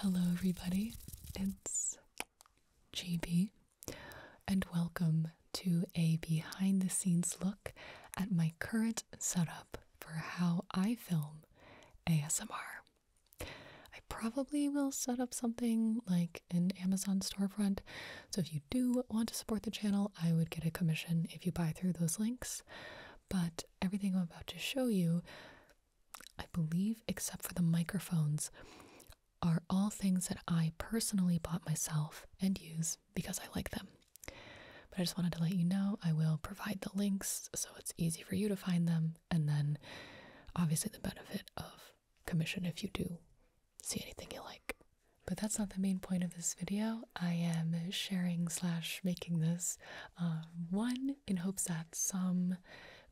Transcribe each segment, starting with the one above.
Hello, everybody. It's GB, and welcome to a behind the scenes look at my current setup for how I film ASMR. I probably will set up something like an Amazon storefront, so if you do want to support the channel, I would get a commission if you buy through those links. But everything I'm about to show you I believe, except for the microphones, are all things that I personally bought myself and use because I like them. But I just wanted to let you know I will provide the links so it's easy for you to find them, and then obviously the benefit of commission if you do see anything you like. But that's not the main point of this video. I am sharing slash making this uh, one in hopes that some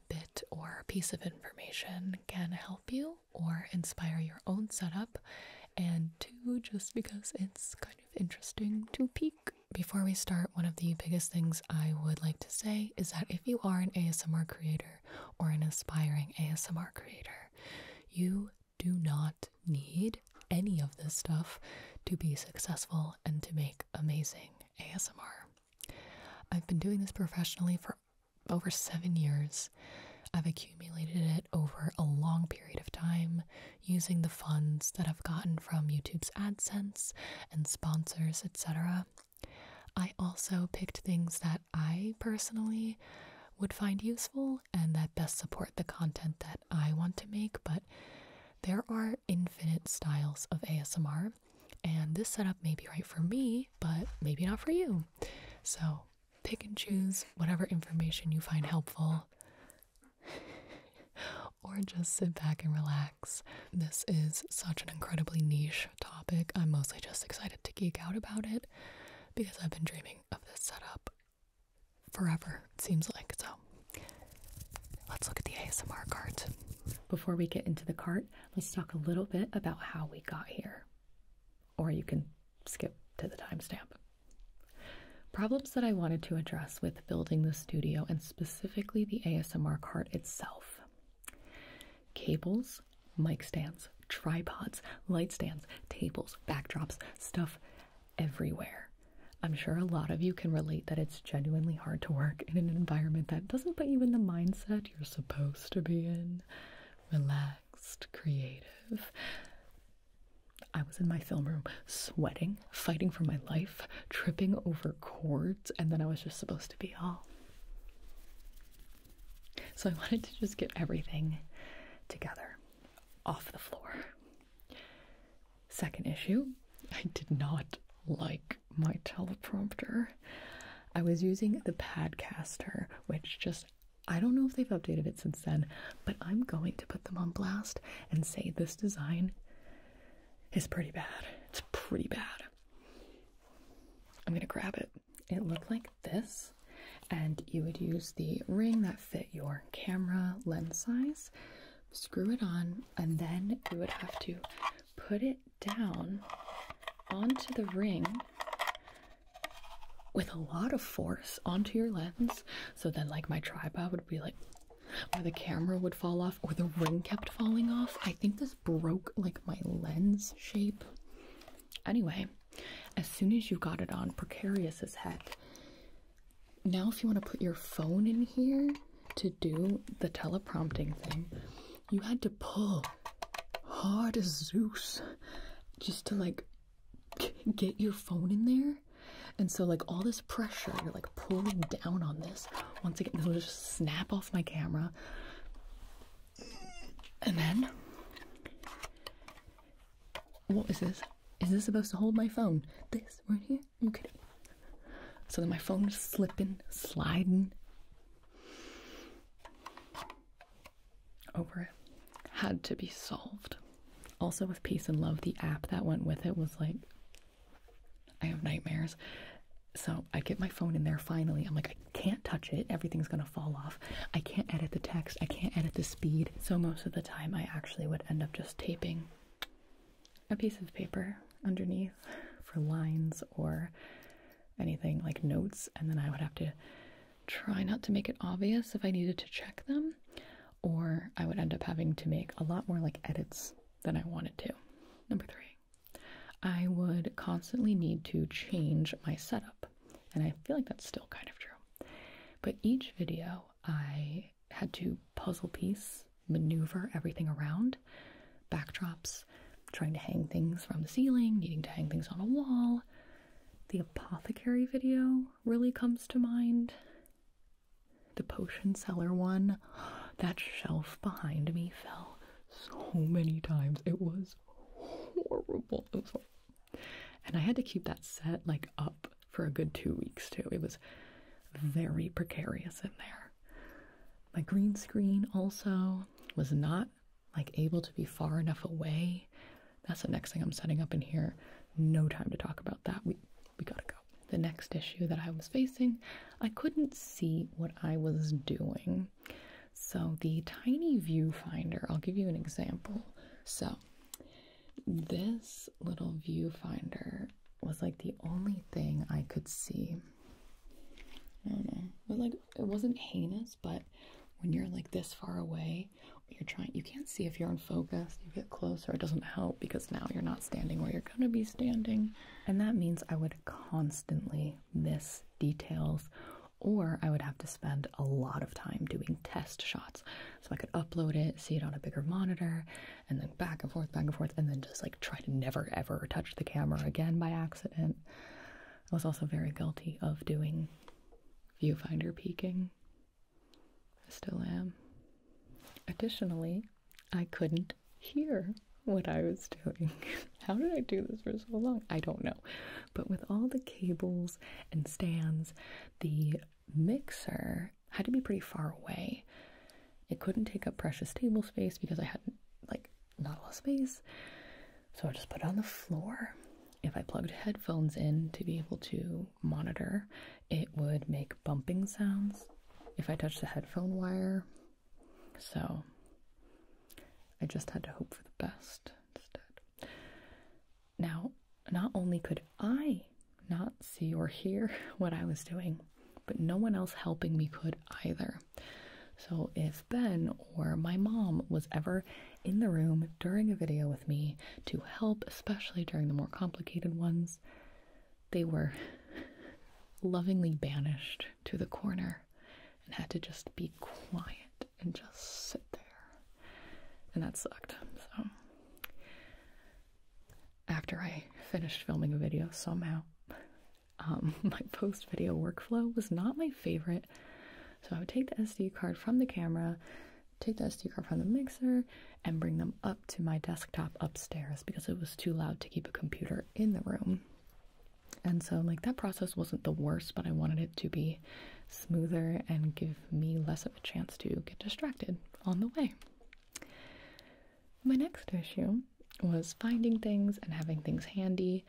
bit or piece of information can help you or inspire your own setup, and two, just because it's kind of interesting to peek. Before we start, one of the biggest things I would like to say is that if you are an ASMR creator or an aspiring ASMR creator, you do not need any of this stuff to be successful and to make amazing ASMR. I've been doing this professionally for over seven years. I've accumulated it over a long period of time using the funds that I've gotten from YouTube's AdSense and sponsors, etc. I also picked things that I personally would find useful and that best support the content that I want to make, but there are infinite styles of ASMR, and this setup may be right for me, but maybe not for you. So pick and choose whatever information you find helpful, or just sit back and relax. This is such an incredibly niche topic. I'm mostly just excited to geek out about it because I've been dreaming of this setup forever, it seems like. So let's look at the ASMR cart. Before we get into the cart, let's talk a little bit about how we got here. Or you can skip to the timestamp. Problems that I wanted to address with building the studio and specifically the ASMR cart itself cables, mic stands, tripods, light stands, tables, backdrops, stuff everywhere. I'm sure a lot of you can relate that it's genuinely hard to work in an environment that doesn't put you in the mindset you're supposed to be in relaxed, creative. I was in my film room sweating, fighting for my life, tripping over cords, and then I was just supposed to be all. So I wanted to just get everything together off the floor. Second issue, I did not like my teleprompter. I was using the Padcaster, which just I don't know if they've updated it since then, but I'm going to put them on blast and say this design is pretty bad. It's pretty bad. I'm gonna grab it. It looked like this, and you would use the ring that fit your camera lens size, screw it on, and then you would have to put it down onto the ring with a lot of force onto your lens so then like my tripod would be like or the camera would fall off or the ring kept falling off i think this broke like my lens shape anyway as soon as you got it on precarious as heck now if you want to put your phone in here to do the teleprompting thing, you had to pull hard as Zeus just to like get your phone in there. And so, like, all this pressure, you're like pulling down on this. Once again, this will just snap off my camera. And then, what is this? Is this supposed to hold my phone? This right here? Okay. So then my phone was slipping, sliding over it. Had to be solved. Also, with Peace and Love, the app that went with it was like, I have nightmares. So I get my phone in there finally. I'm like, I can't touch it. Everything's going to fall off. I can't edit the text. I can't edit the speed. So most of the time, I actually would end up just taping a piece of paper underneath for lines or anything like notes, and then I would have to try not to make it obvious if I needed to check them, or I would end up having to make a lot more like edits than I wanted to. Number three, I would constantly need to change my setup, and I feel like that's still kind of true. But each video, I had to puzzle piece maneuver everything around. Backdrops, trying to hang things from the ceiling, needing to hang things on a wall. The apothecary video really comes to mind. The potion seller one. That shelf behind me fell so many times. It was horrible. It was horrible. And I had to keep that set like up for a good two weeks too. It was very precarious in there. My green screen also was not like able to be far enough away. That's the next thing I'm setting up in here. No time to talk about that. We we gotta go. The next issue that I was facing, I couldn't see what I was doing. So the tiny viewfinder, I'll give you an example. So this little viewfinder was like the only thing I could see. I don't know. But like it wasn't heinous, but when you're like this far away, you're trying you can't see if you're in focus. You get closer, it doesn't help because now you're not standing where you're gonna be standing. And that means I would constantly miss details or I would have to spend a lot of time doing test shots so I could upload it, see it on a bigger monitor, and then back and forth, back and forth, and then just like try to never ever touch the camera again by accident. I was also very guilty of doing viewfinder peeking. I still am. Additionally, I couldn't hear what I was doing. How did I do this for so long? I don't know. But with all the cables and stands, the mixer had to be pretty far away. It couldn't take up precious table space because I had like not a lot of space. So I just put it on the floor. If I plugged headphones in to be able to monitor, it would make bumping sounds if I touched the headphone wire. So I just had to hope for the best instead. Now, not only could I not see or hear what I was doing, but no one else helping me could either. So if Ben or my mom was ever in the room during a video with me to help, especially during the more complicated ones, they were lovingly banished to the corner and had to just be quiet and just sit there. And that sucked. So after I finished filming a video somehow, um, my post video workflow was not my favorite. So I would take the SD card from the camera, take the SD card from the mixer, and bring them up to my desktop upstairs because it was too loud to keep a computer in the room. And so, like, that process wasn't the worst, but I wanted it to be smoother and give me less of a chance to get distracted on the way. My next issue was finding things and having things handy.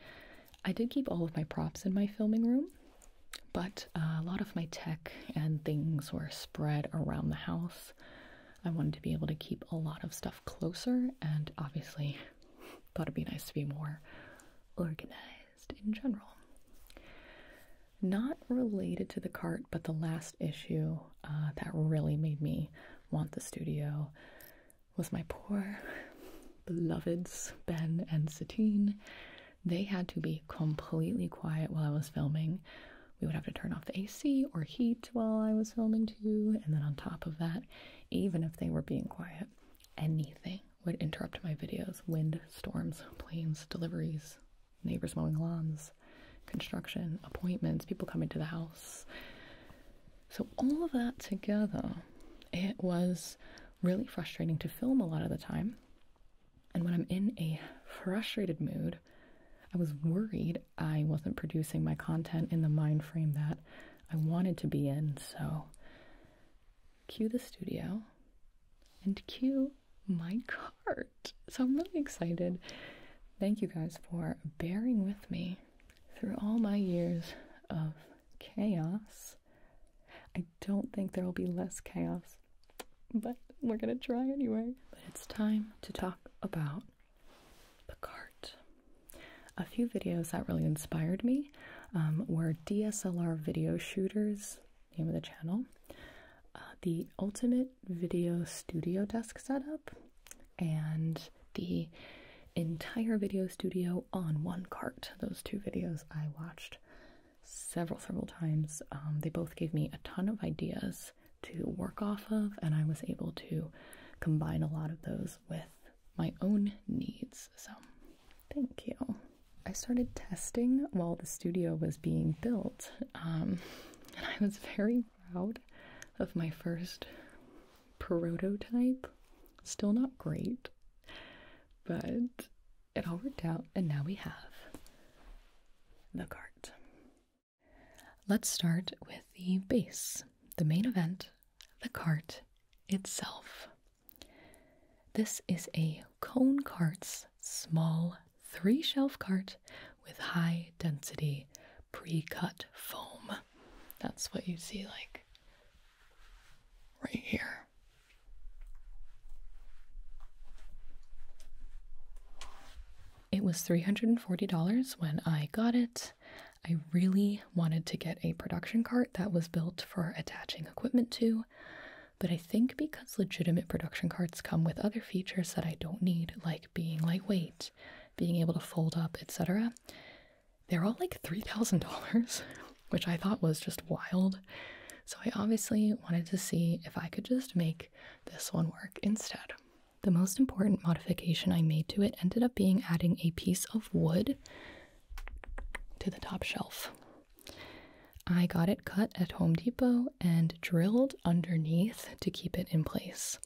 I did keep all of my props in my filming room, but uh, a lot of my tech and things were spread around the house. I wanted to be able to keep a lot of stuff closer, and obviously, thought it'd be nice to be more organized in general. Not related to the cart, but the last issue uh, that really made me want the studio was my poor beloveds Ben and Satine. They had to be completely quiet while I was filming. We would have to turn off the AC or heat while I was filming too, and then on top of that, even if they were being quiet, anything would interrupt my videos. Wind, storms, planes, deliveries, neighbors mowing lawns, construction, appointments, people coming to the house. So, all of that together, it was really frustrating to film a lot of the time. And when I'm in a frustrated mood, I was worried I wasn't producing my content in the mind frame that I wanted to be in. So, cue the studio and cue my cart. So, I'm really excited. Thank you guys for bearing with me through all my years of chaos, I don't think there will be less chaos, but we're gonna try anyway. But it's time to talk about the cart. A few videos that really inspired me um, were DSLR video shooters, name of the channel, uh, the ultimate video studio desk setup, and the entire video studio on one cart. Those two videos I watched several, several times. Um, they both gave me a ton of ideas to work off of, and I was able to combine a lot of those with my own needs. So, thank you. I started testing while the studio was being built, um, and I was very proud of my first prototype. Still not great, but it all worked out, and now we have the cart. Let's start with the base, the main event, the cart itself. This is a cone cart's small three shelf cart with high density pre cut foam. That's what you see, like right here. It was $340 when I got it. I really wanted to get a production cart that was built for attaching equipment to, but I think because legitimate production carts come with other features that I don't need, like being lightweight, being able to fold up, etc., they're all like $3,000, which I thought was just wild. So I obviously wanted to see if I could just make this one work instead. The most important modification I made to it ended up being adding a piece of wood to the top shelf. I got it cut at Home Depot and drilled underneath to keep it in place.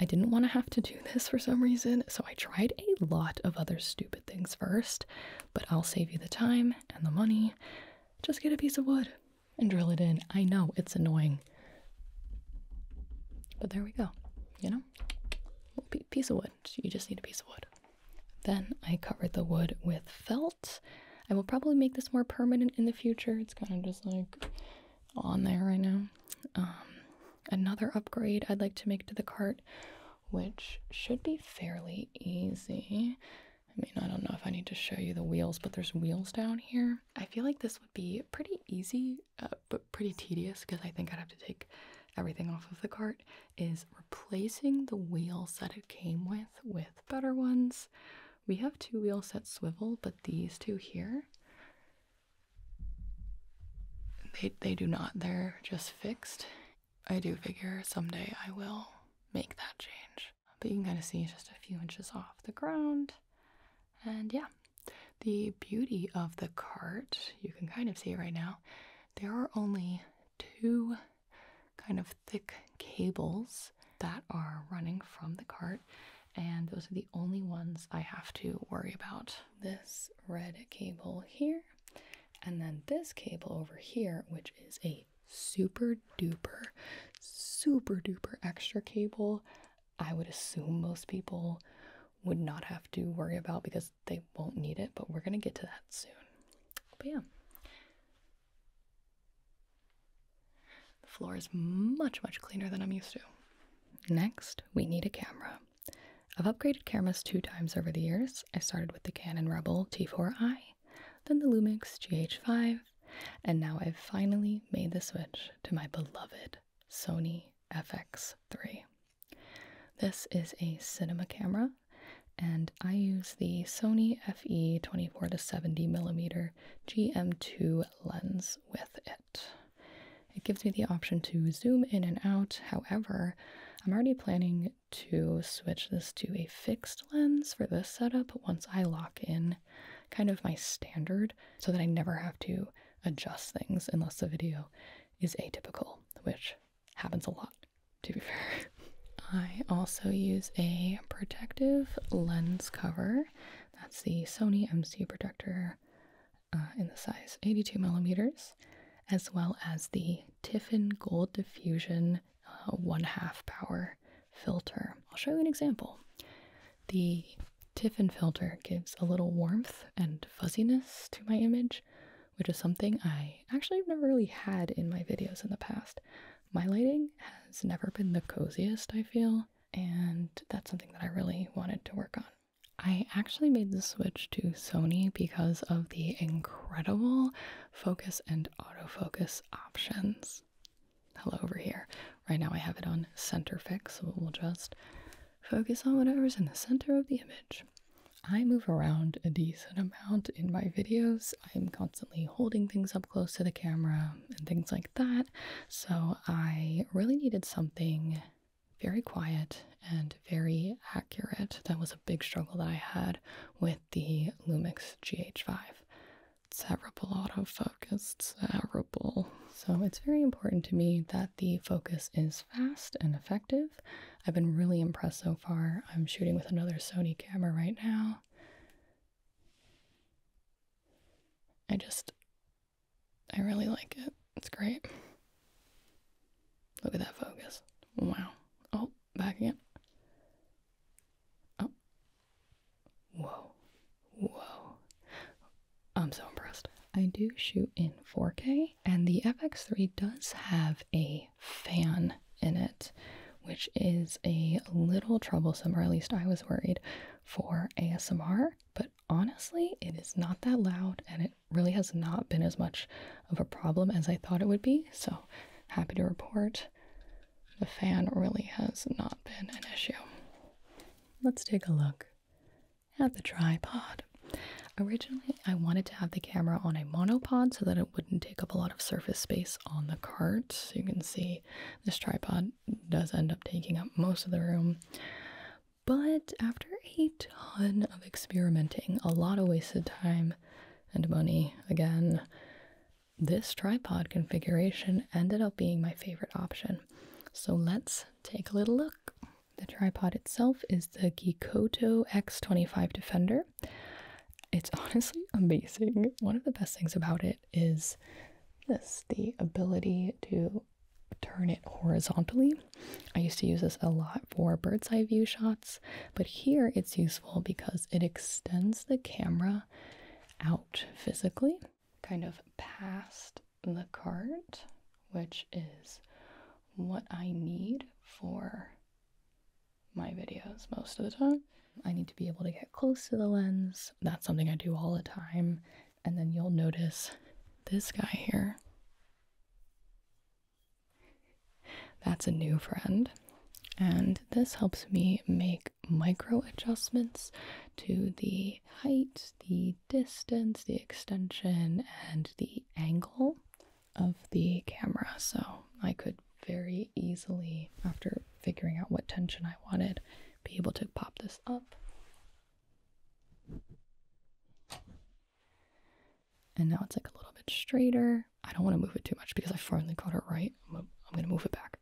I didn't want to have to do this for some reason, so I tried a lot of other stupid things first, but I'll save you the time and the money. Just get a piece of wood and drill it in. I know it's annoying. But there we go. You know? Piece of wood. You just need a piece of wood. Then I covered the wood with felt. I will probably make this more permanent in the future. It's kind of just like on there right now. Um, another upgrade I'd like to make to the cart, which should be fairly easy. I mean, I don't know if I need to show you the wheels, but there's wheels down here. I feel like this would be pretty easy, uh, but pretty tedious because I think I'd have to take everything off of the cart. Is replacing the wheels that it came with with better ones. We have two wheel set swivel, but these two here they, they do not. They're just fixed. I do figure someday I will make that change. But you can kind of see just a few inches off the ground. And yeah, the beauty of the cart, you can kind of see it right now. There are only two kind of thick cables that are running from the cart, and those are the only ones I have to worry about this red cable here, and then this cable over here, which is a super duper, super duper extra cable. I would assume most people would not have to worry about because they won't need it, but we're going to get to that soon. But yeah. The floor is much, much cleaner than I'm used to. Next, we need a camera. I've upgraded cameras two times over the years. I started with the Canon Rebel T4i, then the Lumix GH5, and now I've finally made the switch to my beloved Sony FX3. This is a cinema camera, and I use the Sony FE 24 to 70 mm GM2 lens with it. It gives me the option to zoom in and out. However, I'm already planning to switch this to a fixed lens for this setup once I lock in kind of my standard so that I never have to adjust things unless the video is atypical, which happens a lot, to be fair. I also use a protective lens cover. That's the Sony MC Protector uh, in the size 82 millimeters, as well as the Tiffin Gold Diffusion uh, one half power filter. I'll show you an example. The Tiffin filter gives a little warmth and fuzziness to my image, which is something I actually have never really had in my videos in the past. My lighting has never been the coziest, I feel, and that's something that I really wanted to work on. I actually made the switch to Sony because of the incredible focus and autofocus options. Hello, over here. Right now I have it on center fix, so we'll just focus on whatever's in the center of the image. I move around a decent amount in my videos. I'm constantly holding things up close to the camera and things like that. So I really needed something very quiet and very accurate. That was a big struggle that I had with the Lumix GH5. It's terrible autofocus, terrible. So it's very important to me that the focus is fast and effective. I've been really impressed so far. I'm shooting with another Sony camera right now. I just I really like it. It's great. Look at that focus. Wow. Oh, back again. Oh. Whoa. Whoa. I'm so impressed. I do shoot in 4K, and the FX3 does have a fan in it, which is a little troublesome, or at least I was worried for ASMR, but honestly, it is not that loud and it really has not been as much of a problem as I thought it would be. So, happy to report the fan really has not been an issue. Let's take a look at the tripod. Originally, I wanted to have the camera on a monopod so that it wouldn't take up a lot of surface space on the cart. So you can see this tripod does end up taking up most of the room. But after a ton of experimenting, a lot of wasted time and money again, this tripod configuration ended up being my favorite option. So let's take a little look. The tripod itself is the Gekoto X25 Defender. It's honestly amazing. One of the best things about it is this the ability to turn it horizontally. I used to use this a lot for bird's eye view shots, but here it's useful because it extends the camera out physically, kind of past the cart, which is what I need for my videos most of the time. I need to be able to get close to the lens. That's something I do all the time. And then you'll notice this guy here that's a new friend, and this helps me make micro adjustments to the height, the distance, the extension, and the angle of the camera. So I could very easily, after figuring out what tension I wanted, be able to pop this up. And now it's like a little bit straighter. I don't want to move it too much because I finally got it right. I'm, going to move it back.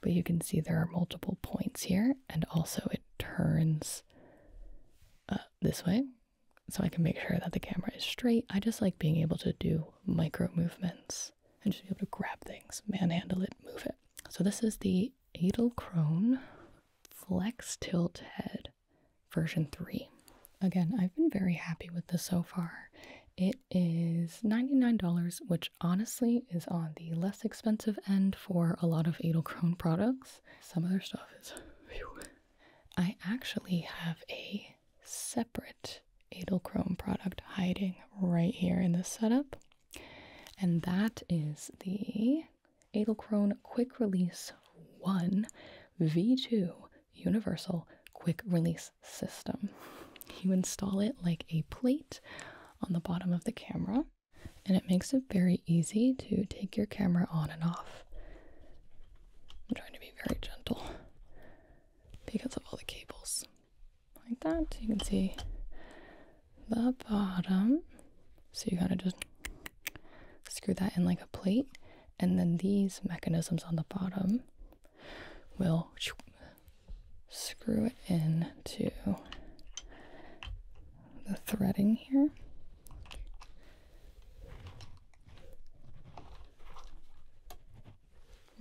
But you can see there are multiple points here, and also it turns uh, this way. So I can make sure that the camera is straight. I just like being able to do micro movements and just be able to grab things, manhandle it, move it. So this is the Edelkrone Flex Tilt Head version 3. Again, I've been very happy with this so far. It is $99, which honestly is on the less expensive end for a lot of Edelkrone products. Some other stuff is. Whew. I actually have a separate Edelkrone product hiding right here in this setup, and that is the Adelcrone Quick Release 1 V2 Universal Quick Release System. You install it like a plate on the bottom of the camera, and it makes it very easy to take your camera on and off. I'm trying to be very gentle because of all the cables. Like that, you can see the bottom. So you kind of just screw that in like a plate, and then these mechanisms on the bottom will screw it into the threading here.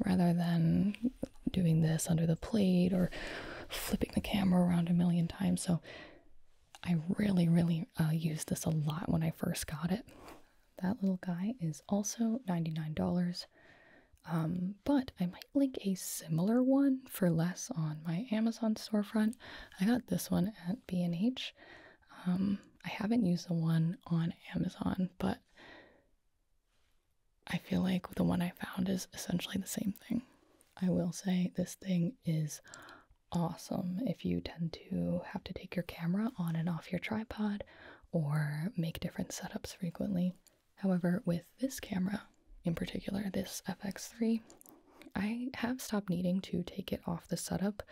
Rather than doing this under the plate or flipping the camera around a million times. So I really, really uh, use this a lot when I first got it. That little guy is also $99. Um, but I might link a similar one for less on my Amazon storefront. I got this one at B&H. Um, I haven't used the one on Amazon, but I feel like the one I found is essentially the same thing. I will say this thing is awesome if you tend to have to take your camera on and off your tripod or make different setups frequently. However, with this camera, in particular this FX3, I have stopped needing to take it off the setup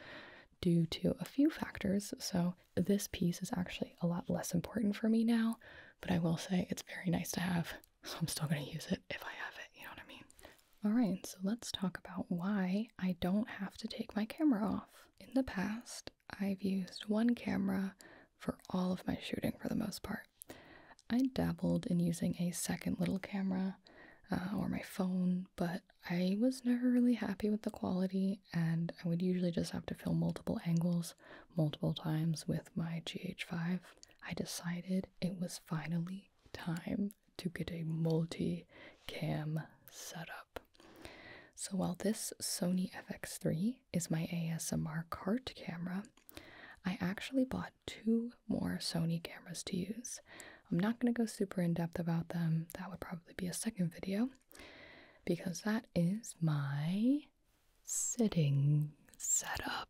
due to a few factors. So, this piece is actually a lot less important for me now, but I will say it's very nice to have so I'm still going to use it if I have it, you know what I mean? Alright, so let's talk about why I don't have to take my camera off. In the past, I've used one camera for all of my shooting for the most part. I dabbled in using a second little camera uh, or my phone, but I was never really happy with the quality, and I would usually just have to film multiple angles multiple times with my GH5. I decided it was finally time to get a multi cam setup. So, while this Sony FX3 is my ASMR cart camera, I actually bought two more Sony cameras to use. I'm not going to go super in depth about them, that would probably be a second video, because that is my sitting setup.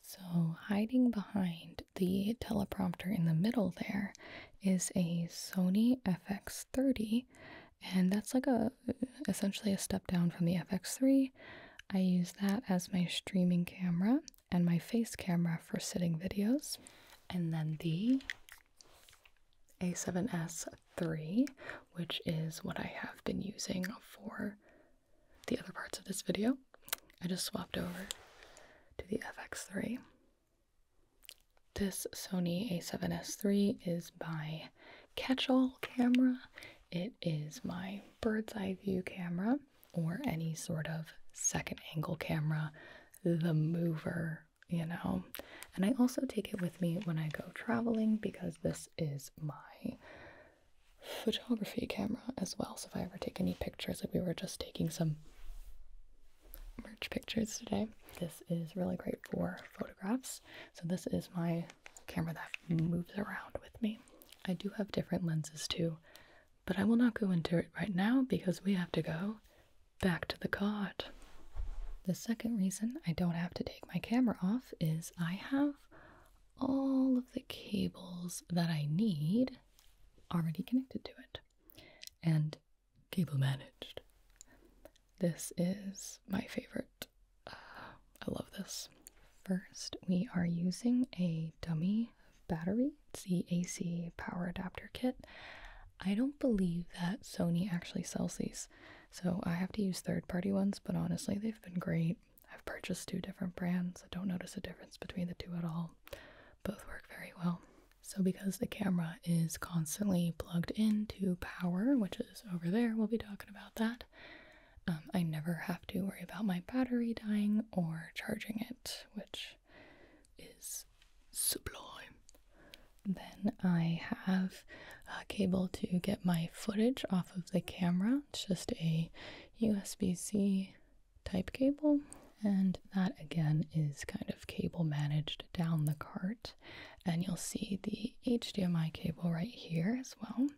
So, hiding behind the teleprompter in the middle there is a Sony FX30, and that's like a essentially a step down from the FX3. I use that as my streaming camera and my face camera for sitting videos. And then the A7S III, which is what I have been using for the other parts of this video. I just swapped over to the FX3. This Sony a7S 3 is my Catch-All Camera. It is my bird's eye view camera or any sort of second angle camera, the mover, you know. And I also take it with me when I go traveling because this is my photography camera as well. So if I ever take any pictures, like we were just taking some merch pictures today, this is really great for photographs. So this is my camera that moves around with me. I do have different lenses too, but I will not go into it right now because we have to go back to the cot. The second reason I don't have to take my camera off is I have all of the cables that I need already connected to it and cable managed. This is my favorite. Uh, I love this. First, we are using a dummy battery. It's the AC power adapter kit. I don't believe that Sony actually sells these, so I have to use third party ones, but honestly, they've been great. I've purchased two different brands. I don't notice a difference between the two at all. Both work very well. So, because the camera is constantly plugged into power, which is over there, we'll be talking about that. Um, I never have to worry about my battery dying or charging it, which is sublime. Then I have a cable to get my footage off of the camera. It's just a USB C type cable and that again is kind of cable managed down the cart and you'll see the HDMI cable right here as well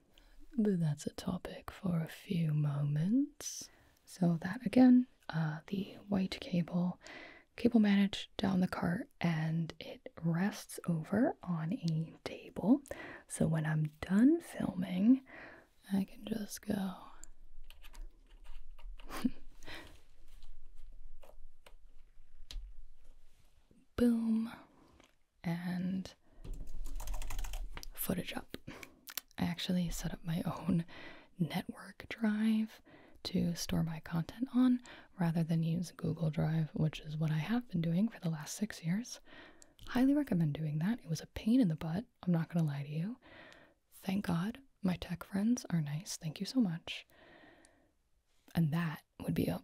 but that's a topic for a few moments so that again uh, the white cable cable managed down the cart and it rests over on a table so when I'm done filming I can just go. Boom. And footage up. I actually set up my own network drive to store my content on rather than use Google Drive, which is what I have been doing for the last six years. Highly recommend doing that. It was a pain in the butt. I'm not gonna lie to you. Thank God my tech friends are nice. Thank you so much. And that would be a,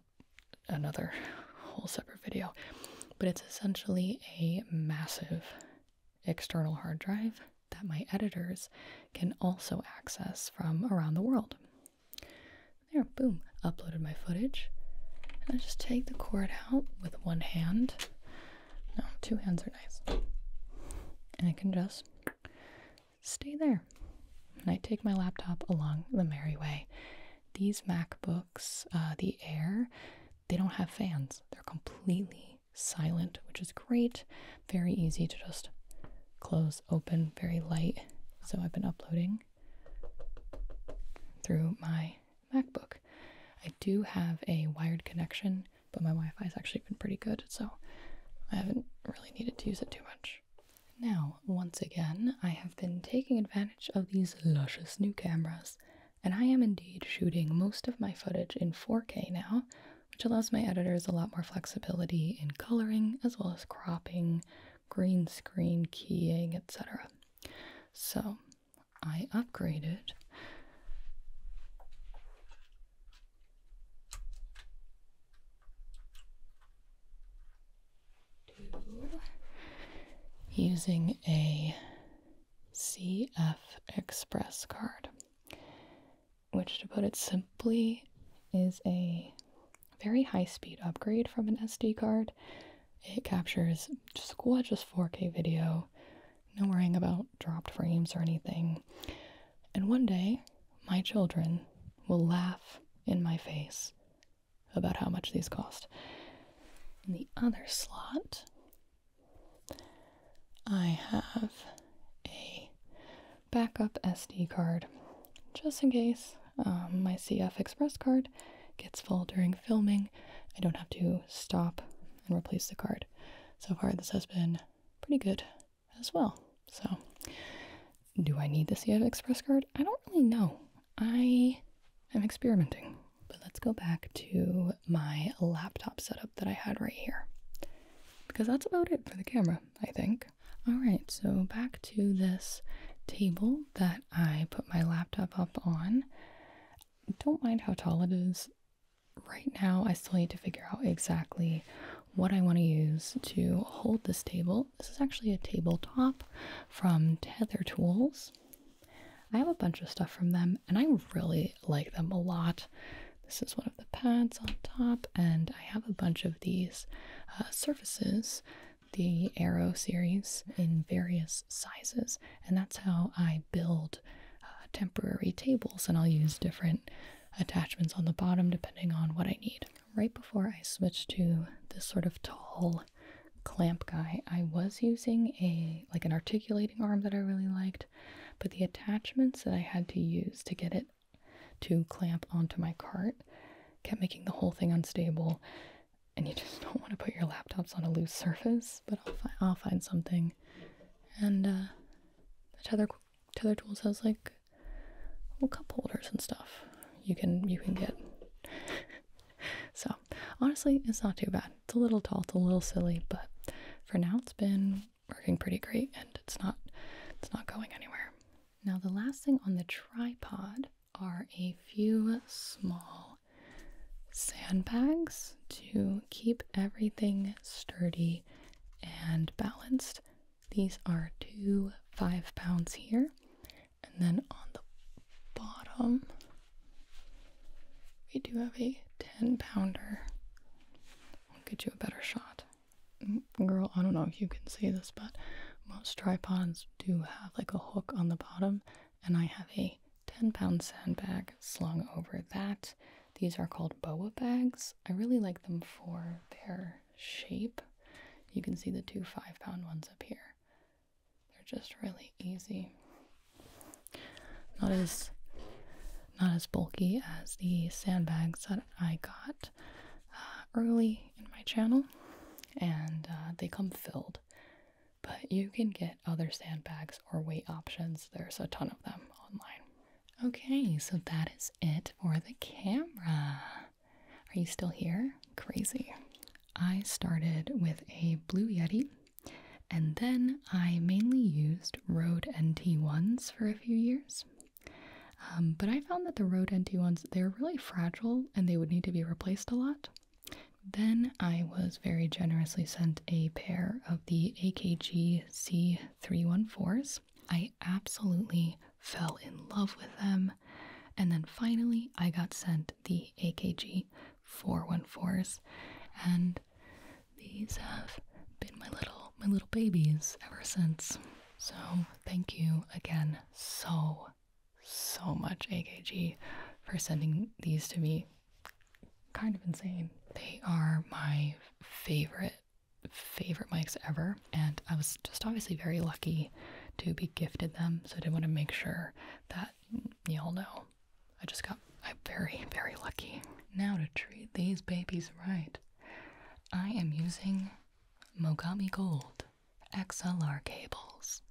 another whole separate video. But it's essentially a massive external hard drive that my editors can also access from around the world. There, boom, uploaded my footage. And I just take the cord out with one hand no, two hands are nice. And I can just stay there. And I take my laptop along the merry way. These MacBooks, uh, the Air, they don't have fans. They're completely silent, which is great. Very easy to just close, open, very light. So I've been uploading through my MacBook. I do have a wired connection, but my Wi Fi has actually been pretty good, so I haven't really needed to use it too much. Now, once again, I have been taking advantage of these luscious new cameras, and I am indeed shooting most of my footage in 4K now, which allows my editors a lot more flexibility in coloring as well as cropping, green screen keying, etc. So, I upgraded using a CF Express card, which, to put it simply, is a very high speed upgrade from an SD card. It captures just gorgeous 4K video no worrying about dropped frames or anything. And one day, my children will laugh in my face about how much these cost. In the other slot, I have a backup SD card just in case um, my CF Express card gets full during filming. I don't have to stop and replace the card. So far, this has been pretty good as well. So, do I need the yet express card? I don't really know. I am experimenting. But let's go back to my laptop setup that I had right here. Because that's about it for the camera, I think. All right, so back to this table that I put my laptop up on. Don't mind how tall it is. Right now, I still need to figure out exactly what I want to use to hold this table. This is actually a tabletop from Tether Tools. I have a bunch of stuff from them and I really like them a lot. This is one of the pads on top, and I have a bunch of these uh, surfaces, the Arrow series, in various sizes, and that's how I build uh, temporary tables and I'll use different attachments on the bottom depending on what I need. Right before I switched to this sort of tall clamp guy, I was using a like an articulating arm that I really liked, but the attachments that I had to use to get it to clamp onto my cart kept making the whole thing unstable and you just don't want to put your laptops on a loose surface, but I'll find something and uh, the tether tether tools has like well, cup holders and stuff. You can you can get. so honestly, it's not too bad. It's a little tall, it's a little silly, but for now it's been working pretty great, and it's not it's not going anywhere. Now the last thing on the tripod are a few small sandbags to keep everything sturdy, and balanced. These are two five pounds here, and then on the bottom, we do have a 10 pounder. I'll get you a better shot. Mm, girl, I don't know if you can see this, but most tripods do have like a hook on the bottom, and I have a 10 pound sandbag slung over that. These are called boa bags. I really like them for their shape. You can see the two five pound ones up here. They're just really easy. Not as not as bulky as the sandbags that I got uh, early in my channel, and uh, they come filled. But you can get other sandbags or weight options. There's a ton of them online. Okay, so that is it for the camera. Are you still here? Crazy. I started with a Blue Yeti and then I mainly used Rode NT1s for a few years. Um, but I found that the Rode NT1s, they're really fragile and they would need to be replaced a lot. Then I was very generously sent a pair of the AKG the C314s. I absolutely fell in love with them. And then finally, I got sent the AKG 414s, and these have been my little my little babies ever since. So thank you again so so much AKG for sending these to me kind of insane. They are my favorite favorite mics ever and I was just obviously very lucky to be gifted them so I did want to make sure that y'all know I just got i very very lucky now to treat these babies right I am using Mogami Gold XLR cables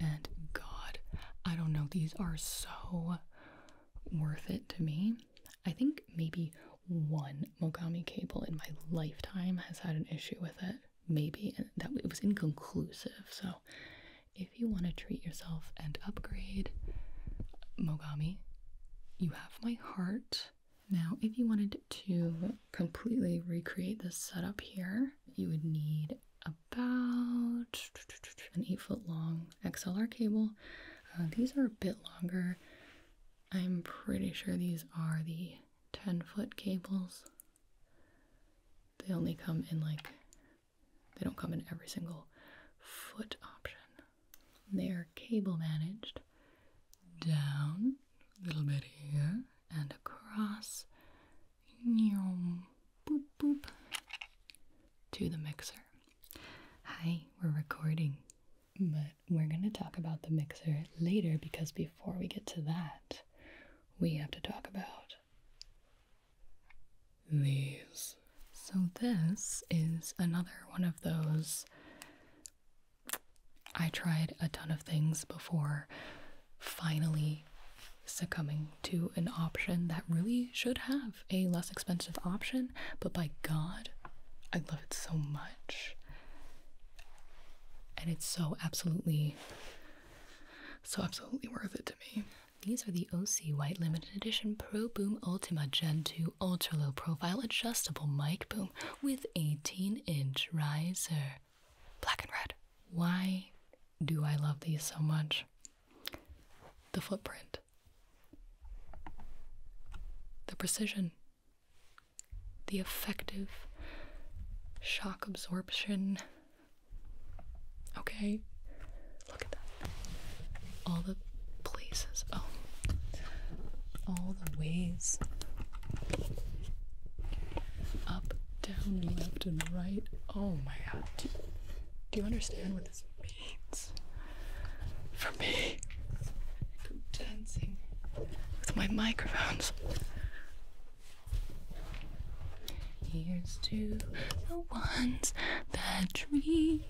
and god I don't know these are so worth it to me. I think maybe one Mogami cable in my lifetime has had an issue with it. Maybe that it was inconclusive. So, if you want to treat yourself and upgrade Mogami, you have my heart. Now, if you wanted to completely recreate this setup here, you would need about an 8 foot long XLR cable uh, these are a bit longer. I'm pretty sure these are the 10 foot cables. They only come in like, they don't come in every single foot option. They are cable managed down, a little bit here, and across boop, boop, to the mixer. Hi, we're recording. But we're going to talk about the mixer later because before we get to that, we have to talk about these. So, this is another one of those. I tried a ton of things before finally succumbing to an option that really should have a less expensive option, but by God, I love it so much. And it's so absolutely, so absolutely worth it to me. These are the OC White Limited Edition Pro Boom Ultima Gen 2 Ultra Low Profile Adjustable Mic Boom with 18 inch riser. Black and red. Why do I love these so much? The footprint. The precision, the effective shock absorption. Okay, look at that. All the places, oh, all the ways up, down, left, and right. Oh my god. Do you understand what for me. with my microphones. Here's to the ones that dream.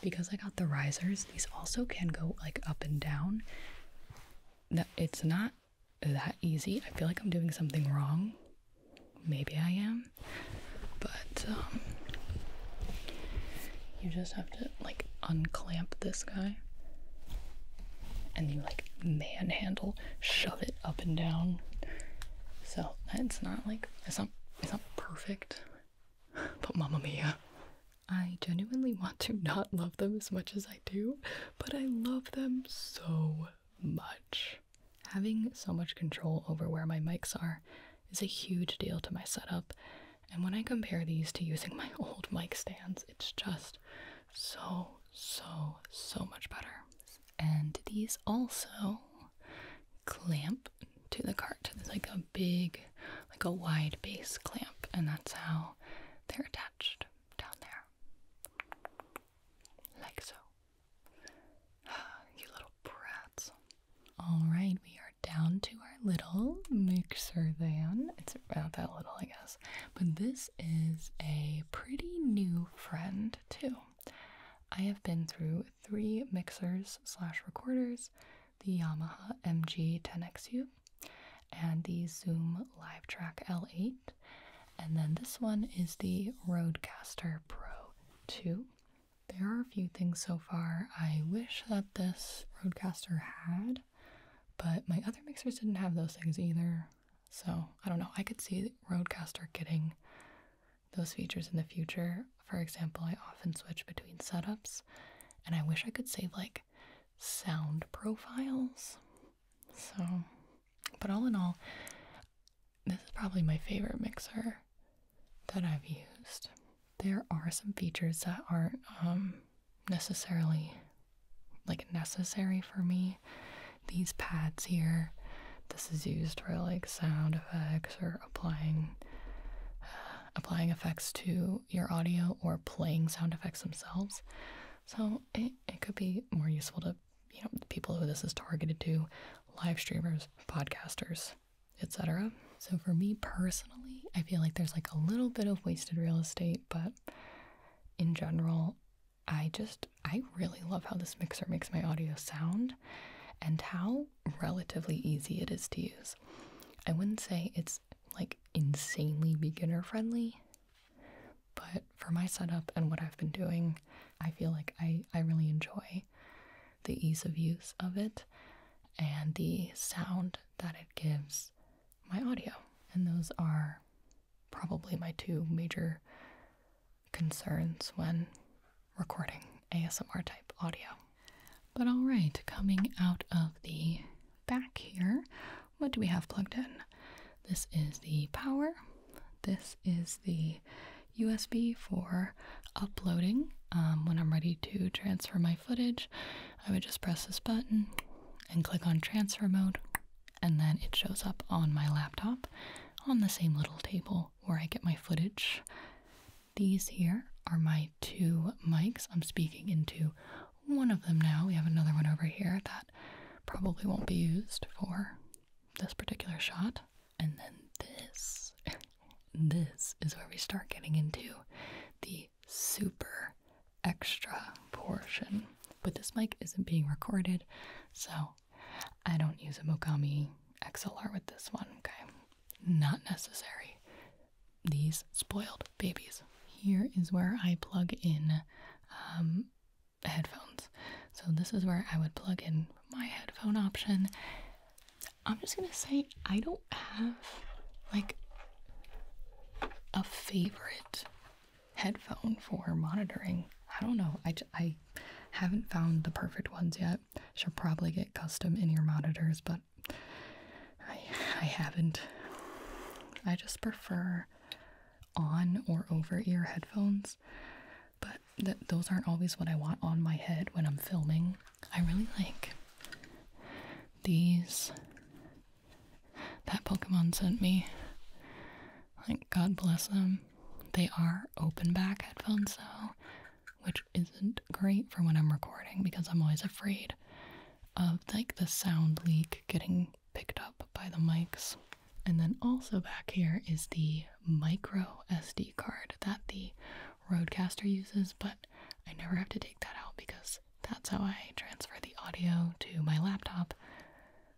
Because I got the risers, these also can go like up and down. That it's not that easy. I feel like I'm doing something wrong. Maybe I am. But um, you just have to like unclamp this guy and you like manhandle, shove it up and down. So it's not like it's not it's not perfect. But mama mia. I genuinely want to not love them as much as I do, but I love them so much. Having so much control over where my mics are is a huge deal to my setup. And when I compare these to using my old mic stands, it's just so, so, so much better. And these also clamp to the cart. There's like a big, like a wide base clamp, and that's how they're attached down there. Like so. you little brats. All right, we are down to our little mixer van. It's about that little, I guess. But this is a pretty new friend, too. I have been through three mixers slash recorders, the Yamaha MG10XU and the Zoom LiveTrack L8. And then this one is the Rodecaster Pro 2. There are a few things so far I wish that this Rodecaster had, but my other mixers didn't have those things either. So I don't know. I could see Rodecaster getting those features in the future. For example, I often switch between setups, and I wish I could save like sound profiles. So, but all in all, this is probably my favorite mixer that I've used. There are some features that aren't um, necessarily like necessary for me. These pads here, this is used for like sound effects or applying uh, applying effects to your audio or playing sound effects themselves. So it, it could be more useful to you know the people who this is targeted to, live streamers, podcasters, etc. So for me personally, I feel like there's like a little bit of wasted real estate, but in general, I just I really love how this mixer makes my audio sound and how relatively easy it is to use. I wouldn't say it's like insanely beginner friendly, but for my setup and what I've been doing, I feel like I, I really enjoy the ease of use of it and the sound that it gives my audio. And those are probably my two major concerns when recording ASMR type audio. But all right, coming out of the back here, what do we have plugged in? This is the power. This is the USB for uploading. Um, when I'm ready to transfer my footage, I would just press this button and click on transfer mode, and then it shows up on my laptop on the same little table where I get my footage. These here are my two mics. I'm speaking into one of them now. We have another one over here that probably won't be used for this particular shot. And then this, this is where we start getting into the super extra portion. But this mic isn't being recorded, so I don't use a Mokami XLR with this one, okay? Not necessary. These spoiled babies. Here is where I plug in um, headphones. So this is where I would plug in my headphone option. I'm just gonna say I don't have like a favorite headphone for monitoring. I don't know. I, I haven't found the perfect ones yet. Should probably get custom in ear monitors, but I haven't. I just prefer on or over ear headphones, but those aren't always what I want on my head when I'm filming. I really like these that Pokemon sent me. Like, God bless them. They are open back headphones, though, which isn't great for when I'm recording because I'm always afraid of like the sound leak getting picked up by the mics. And then also back here is the micro SD card that the Roadcaster uses, but I never have to take that out because that's how I transfer the audio to my laptop,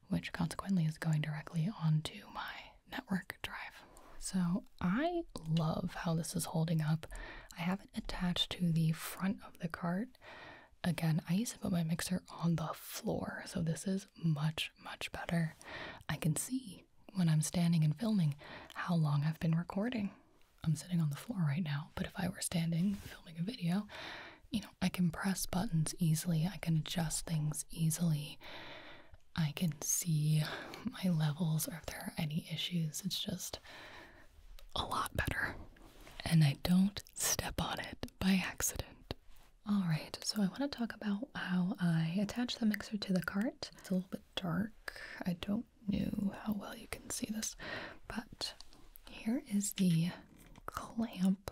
which consequently is going directly onto my network drive. So I love how this is holding up. I have it attached to the front of the cart. Again, I used to put my mixer on the floor, so this is much, much better. I can see when I'm standing and filming how long I've been recording. I'm sitting on the floor right now, but if I were standing filming a video, you know, I can press buttons easily, I can adjust things easily, I can see my levels or if there are any issues. It's just a lot better. And I don't step on it by accident. Alright, so I want to talk about how I attach the mixer to the cart. It's a little bit dark. I don't do how well you can see this, but here is the clamp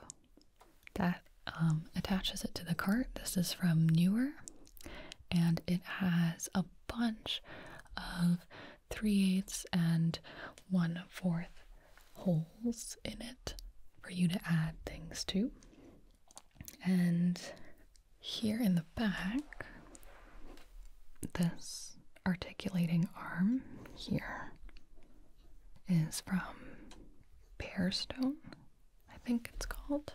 that um, attaches it to the cart. This is from Newer, and it has a bunch of 3 eighths and one-fourth holes in it for you to add things to. And here in the back, this articulating arm here is from Pearstone, I think it's called.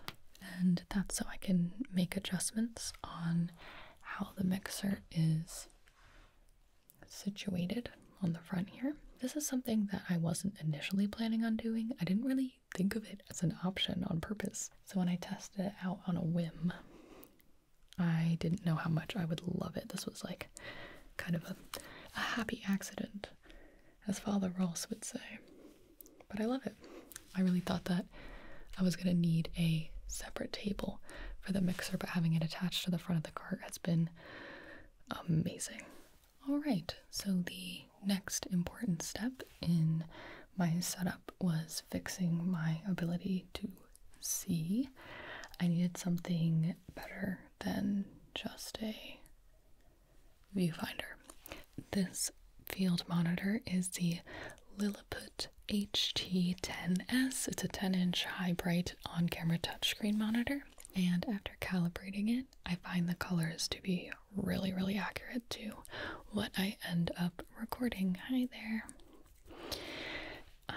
And that's so I can make adjustments on how the mixer is situated on the front here. This is something that I wasn't initially planning on doing. I didn't really think of it as an option on purpose. So when I tested it out on a whim, I didn't know how much I would love it. This was like kind of a, a happy accident, as Father Ross would say. But I love it. I really thought that I was going to need a separate table for the mixer, but having it attached to the front of the cart has been amazing. All right, so the next important step in my setup was fixing my ability to see. I needed something better than just a viewfinder. This field monitor is the Lilliput HT10S. It's a 10 inch high bright on camera touchscreen monitor. And after calibrating it, I find the colors to be really, really accurate to what I end up recording. Hi there. Um,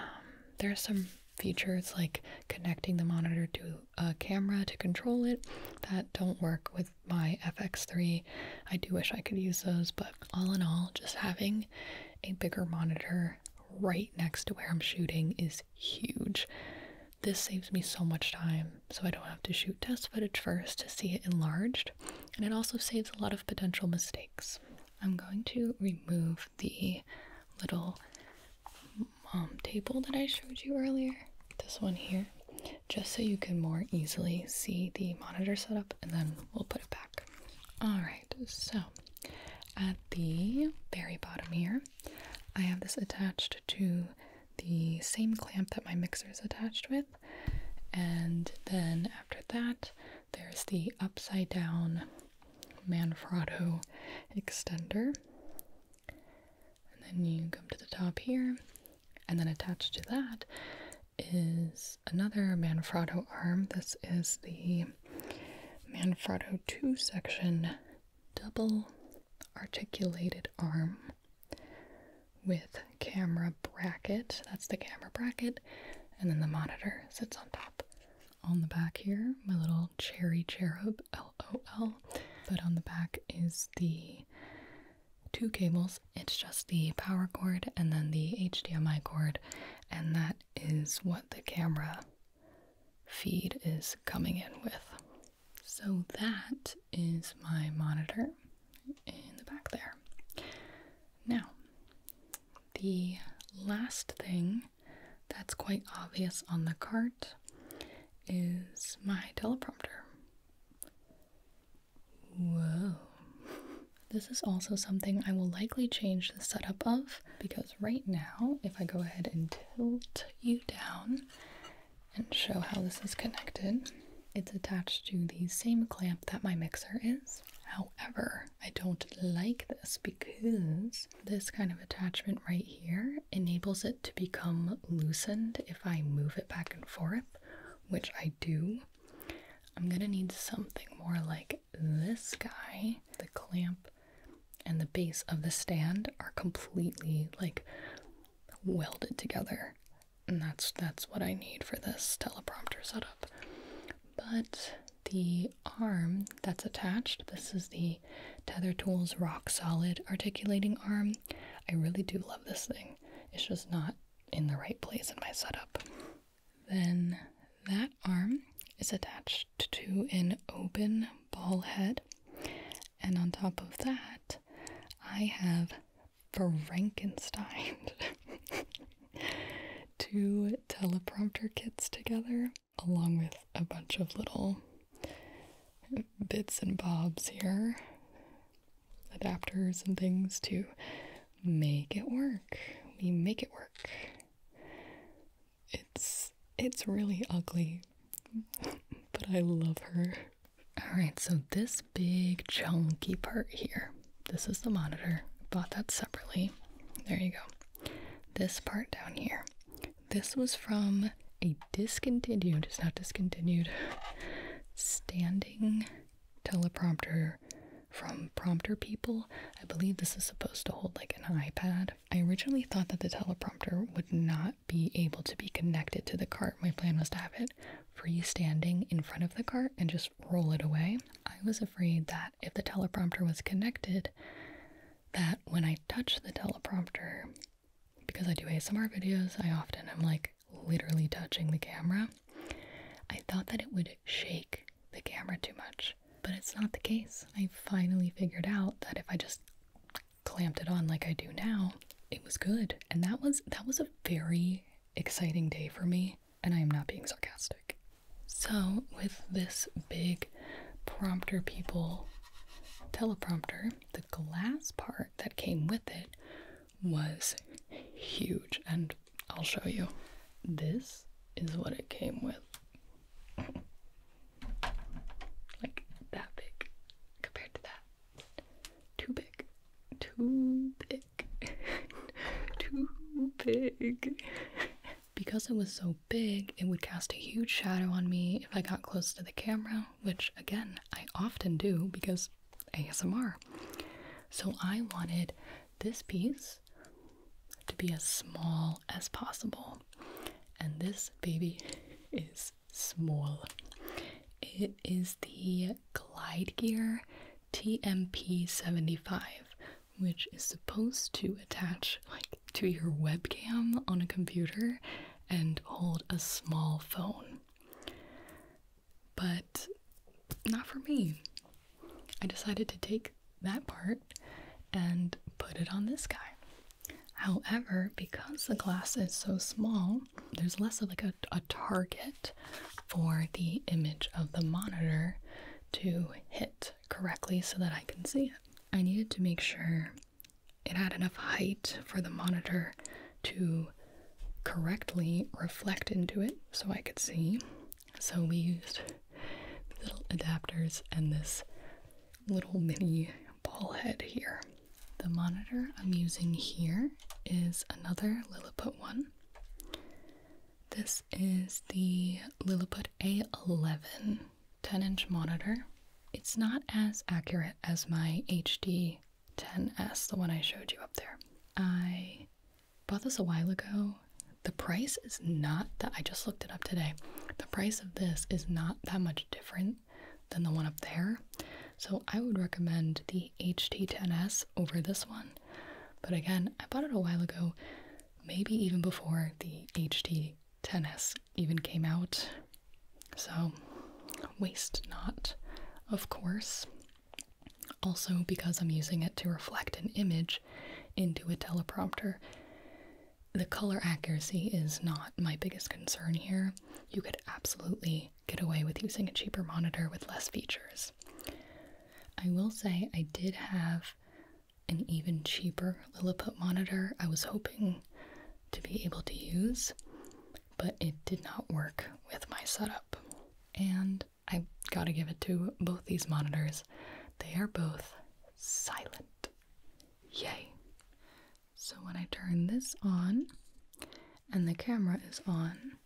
there are some features like connecting the monitor to a camera to control it that don't work with my FX3. I do wish I could use those, but all in all, just having a bigger monitor right next to where I'm shooting is huge. This saves me so much time, so I don't have to shoot test footage first to see it enlarged, and it also saves a lot of potential mistakes. I'm going to remove the little um, table that I showed you earlier, this one here, just so you can more easily see the monitor setup and then we'll put it back. Alright, so at the very bottom here, I have this attached to the same clamp that my mixer is attached with, and then after that, there's the upside down Manfrotto extender. And then you come to the top here, and then attached to that is another Manfrotto arm. This is the Manfrotto 2 section double articulated arm with camera bracket. That's the camera bracket. And then the monitor sits on top. On the back here, my little cherry cherub, LOL. But on the back is the two cables. It's just the power cord and then the HDMI cord. And that is what the camera feed is coming in with. So that is my monitor in the back there. Now, the last thing that's quite obvious on the cart is my teleprompter. Whoa. This is also something I will likely change the setup of because right now, if I go ahead and tilt you down and show how this is connected, it's attached to the same clamp that my mixer is. However, I don't like this because this kind of attachment right here enables it to become loosened if I move it back and forth, which I do. I'm gonna need something more like this guy. The clamp and the base of the stand are completely like welded together and that's that's what I need for this teleprompter setup. But the arm that's attached, this is the Tether Tools Rock Solid articulating arm. I really do love this thing. It's just not in the right place in my setup. Then that arm is attached to an open ball head, and on top of that, I have Frankenstein two teleprompter kits together, along with a bunch of little bits and bobs here, adapters and things to make it work. We make it work. It's it's really ugly, but I love her. All right, so this big chunky part here. This is the monitor. Bought that separately. There you go. This part down here. This was from a discontinued, it's not discontinued, standing teleprompter from prompter people. I believe this is supposed to hold like an iPad. I originally thought that the teleprompter would not be able to be connected to the cart. My plan was to have it freestanding in front of the cart and just roll it away. I was afraid that if the teleprompter was connected, that when I touch the teleprompter, because I do ASMR videos, I often am like literally touching the camera. I thought that it would shake the camera too much, but it's not the case. I finally figured out that if I just clamped it on like I do now, it was good. And that was that was a very exciting day for me and I am not being sarcastic. So, with this big prompter people teleprompter, the glass part that came with it was huge, and I'll show you. This is what it came with. Like that big compared to that. Too big. Too big. Too big. Because it was so big, it would cast a huge shadow on me if I got close to the camera, which again, I often do because ASMR. So I wanted this piece to be as small as possible. And this baby is small. It is the Glide Gear TMP75, which is supposed to attach like to your webcam on a computer and hold a small phone. But not for me. I decided to take that part and put it on this guy. However, because the glass is so small, there's less of like a, a target for the image of the monitor to hit correctly so that I can see it. I needed to make sure it had enough height for the monitor to correctly reflect into it so I could see. So we used little adapters and this little mini ball head here. The monitor I'm using here is another Lilliput one. This is the Lilliput A11 10 inch monitor. It's not as accurate as my HD 10S, the one I showed you up there. I bought this a while ago. The price is not that, I just looked it up today. The price of this is not that much different than the one up there. So I would recommend the HD 10s over this one but again, I bought it a while ago, maybe even before the HD 10S even came out. So, waste not, of course. Also, because I'm using it to reflect an image into a teleprompter, the color accuracy is not my biggest concern here. You could absolutely get away with using a cheaper monitor with less features. I will say I did have an even cheaper Lilliput monitor I was hoping to be able to use, but it did not work with my setup. And I gotta give it to both these monitors. They are both silent. Yay! So when I turn this on and the camera is on,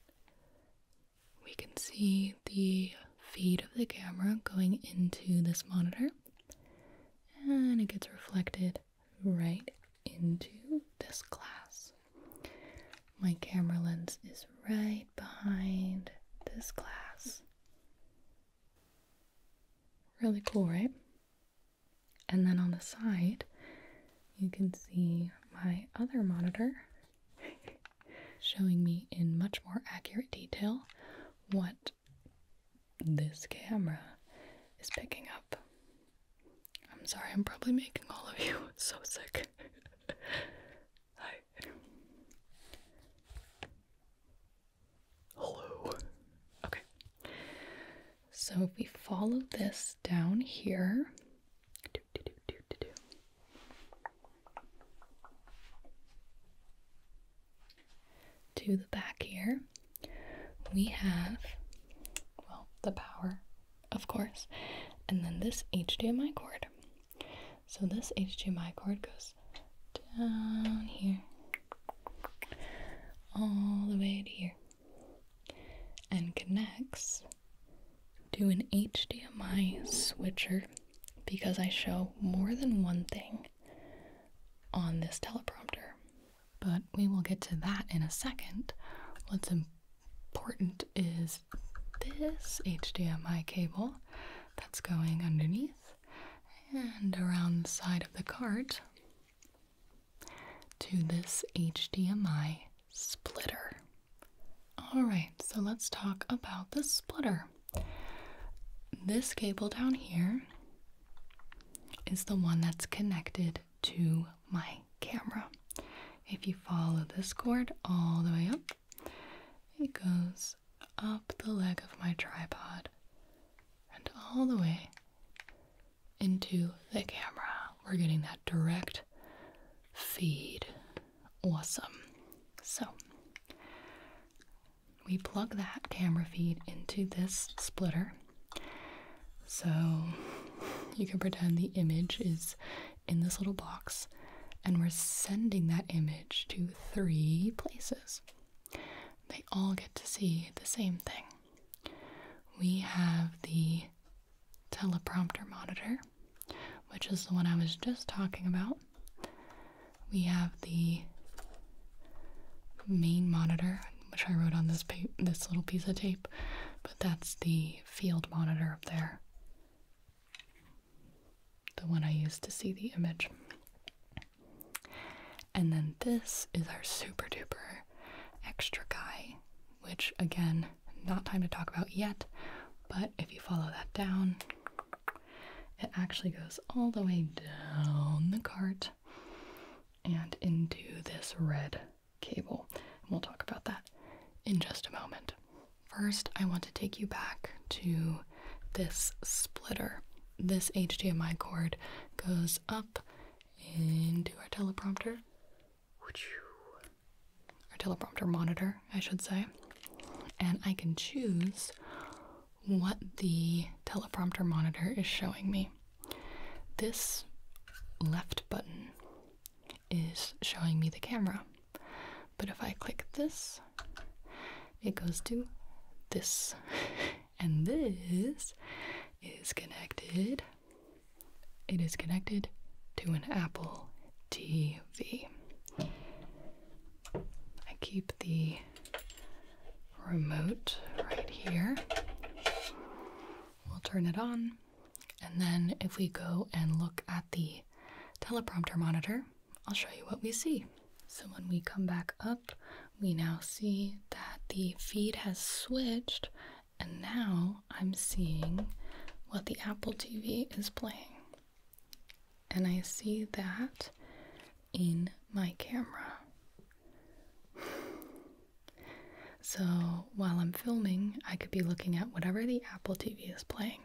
we can see the feed of the camera going into this monitor and it gets reflected right into this glass. My camera lens is right behind this glass. Really cool, right? And then on the side, you can see my other monitor showing me in much more accurate detail what this camera is picking up. I'm sorry, I'm probably making all of you so sick. Hi. Hello. Okay. So if we follow this down here, to the back here, we have, well, the power, of course, and then this HDMI cord. So this HDMI cord goes down here, all the way to here, and connects do an HDMI switcher because I show more than one thing on this teleprompter. But we will get to that in a second. What's important is this HDMI cable that's going underneath and around the side of the cart to this HDMI splitter. All right, so let's talk about the splitter. This cable down here is the one that's connected to my camera. If you follow this cord all the way up, it goes up the leg of my tripod and all the way into the camera. We're getting that direct feed awesome. So we plug that camera feed into this splitter. So you can pretend the image is in this little box and we're sending that image to three places. They all get to see the same thing. We have the teleprompter monitor which is the one I was just talking about. We have the main monitor, which I wrote on this this little piece of tape, but that's the field monitor up there. The one I use to see the image. And then this is our super duper extra guy, which again, not time to talk about yet, but if you follow that down, it actually goes all the way down the cart and into this red cable. And we'll talk about that in just a moment. First, I want to take you back to this splitter. This HDMI cord goes up into our teleprompter our teleprompter monitor, I should say, and I can choose what the teleprompter monitor is showing me. This left button is showing me the camera, but if I click this, it goes to this, and this is connected. It is connected to an Apple TV. I keep the remote right here. We'll turn it on. And then if we go and look at the teleprompter monitor, I'll show you what we see. So when we come back up, we now see that the feed has switched and now I'm seeing what the Apple TV is playing and I see that in my camera. so while I'm filming, I could be looking at whatever the Apple TV is playing.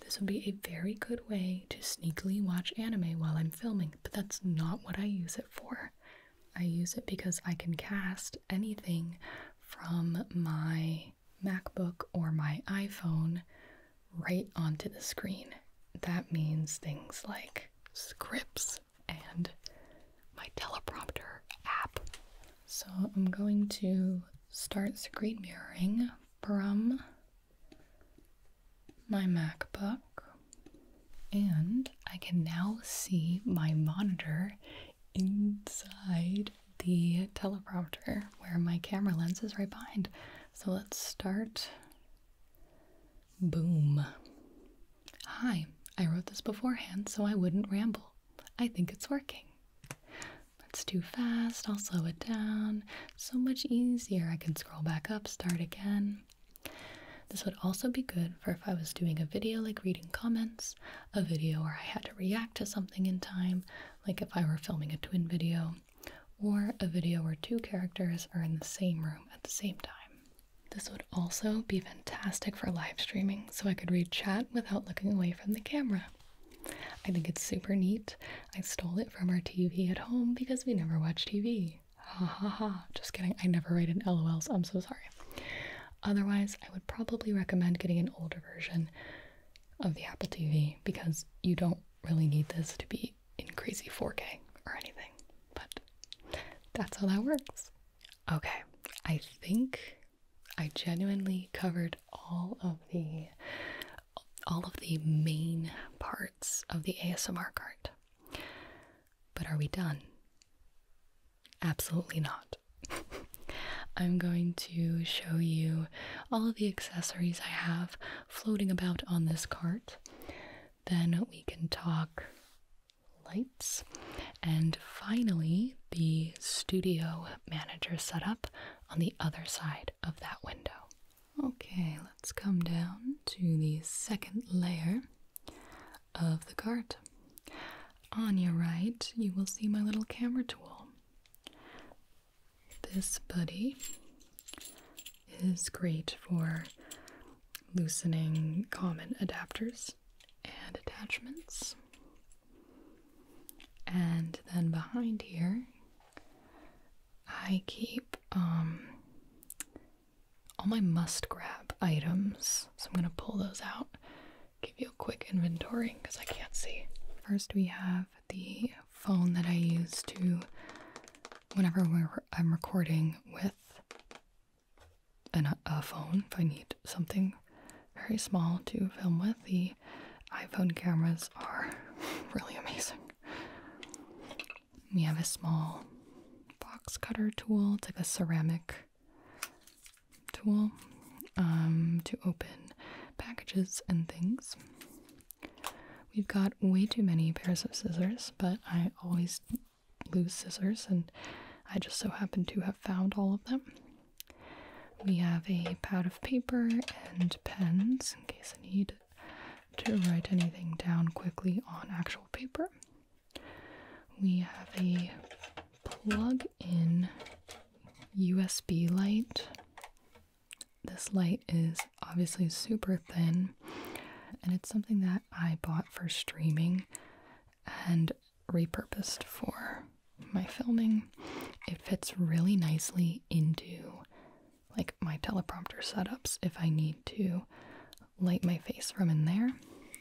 This would be a very good way to sneakily watch anime while I'm filming, but that's not what I use it for. I use it because I can cast anything from my MacBook or my iPhone right onto the screen. That means things like scripts and my teleprompter app. So I'm going to start screen mirroring from my MacBook and I can now see my monitor inside the teleprompter where my camera lens is right behind. So let's start. Boom. Hi, I wrote this beforehand so I wouldn't ramble. I think it's working. That's too fast, I'll slow it down. So much easier, I can scroll back up, start again. This would also be good for if I was doing a video like reading comments, a video where I had to react to something in time, like if I were filming a twin video or a video where two characters are in the same room at the same time. This would also be fantastic for live streaming so I could read chat without looking away from the camera. I think it's super neat. I stole it from our TV at home because we never watch TV. Ha ha ha. Just kidding. I never write in LOLs. I'm so sorry. Otherwise, I would probably recommend getting an older version of the Apple TV because you don't really need this to be in crazy 4K or anything. But that's how that works. Okay, I think I genuinely covered all of the all of the main parts of the ASMR cart. But are we done? Absolutely not. I'm going to show you all of the accessories I have floating about on this cart. Then we can talk lights. And finally, the studio manager setup on the other side of that window. Okay, let's come down to the second layer of the cart. On your right, you will see my little camera tool. This buddy is great for loosening common adapters and attachments. And then behind here, I keep um, all my must grab items. So I'm going to pull those out, give you a quick inventory because I can't see. First, we have the phone that I use to whenever I'm recording with an, a phone. If I need something very small to film with, the iPhone cameras are really amazing. We have a small box cutter tool, it's like a ceramic tool um, to open packages and things. We've got way too many pairs of scissors, but I always lose scissors, and I just so happen to have found all of them. We have a pad of paper and pens in case I need to write anything down quickly on actual paper. We have a plug in USB light this light is obviously super thin, and it's something that I bought for streaming and repurposed for my filming. It fits really nicely into like my teleprompter setups if I need to light my face from in there,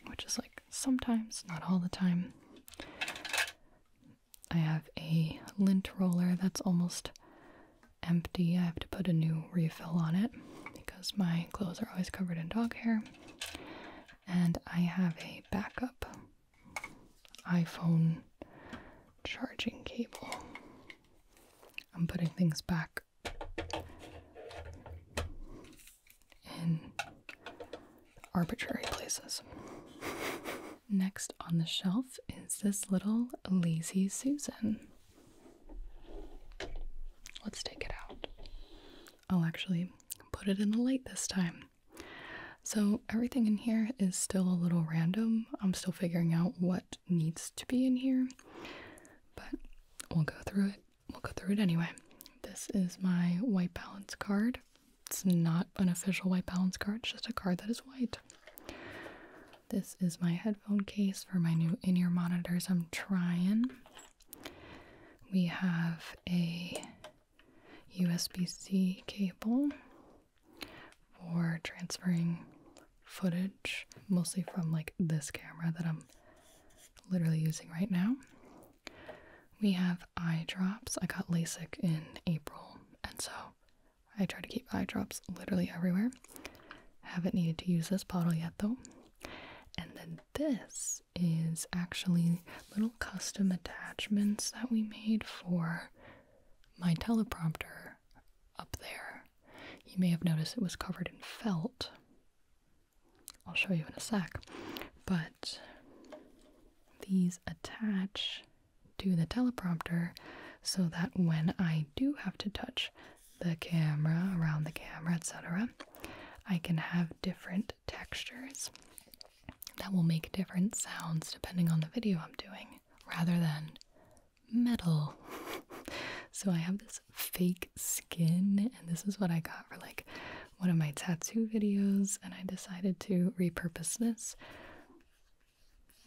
which is like sometimes, not all the time. I have a lint roller that's almost empty. I have to put a new refill on it because my clothes are always covered in dog hair. And I have a backup iPhone charging cable. I'm putting things back in arbitrary places. Next on the shelf is this little Lazy Susan. Let's take it out. I'll actually put it in the light this time. So, everything in here is still a little random. I'm still figuring out what needs to be in here, but we'll go through it. We'll go through it anyway. This is my white balance card. It's not an official white balance card, it's just a card that is white. This is my headphone case for my new in ear monitors. I'm trying. We have a USB C cable for transferring footage, mostly from like this camera that I'm literally using right now. We have eye drops. I got LASIK in April, and so I try to keep eye drops literally everywhere. Haven't needed to use this bottle yet though. And then this is actually little custom attachments that we made for my teleprompter up there. You may have noticed it was covered in felt. I'll show you in a sec. But these attach to the teleprompter so that when I do have to touch the camera, around the camera, etc., I can have different textures that will make different sounds depending on the video I'm doing rather than metal. so I have this fake skin, and this is what I got for like one of my tattoo videos, and I decided to repurpose this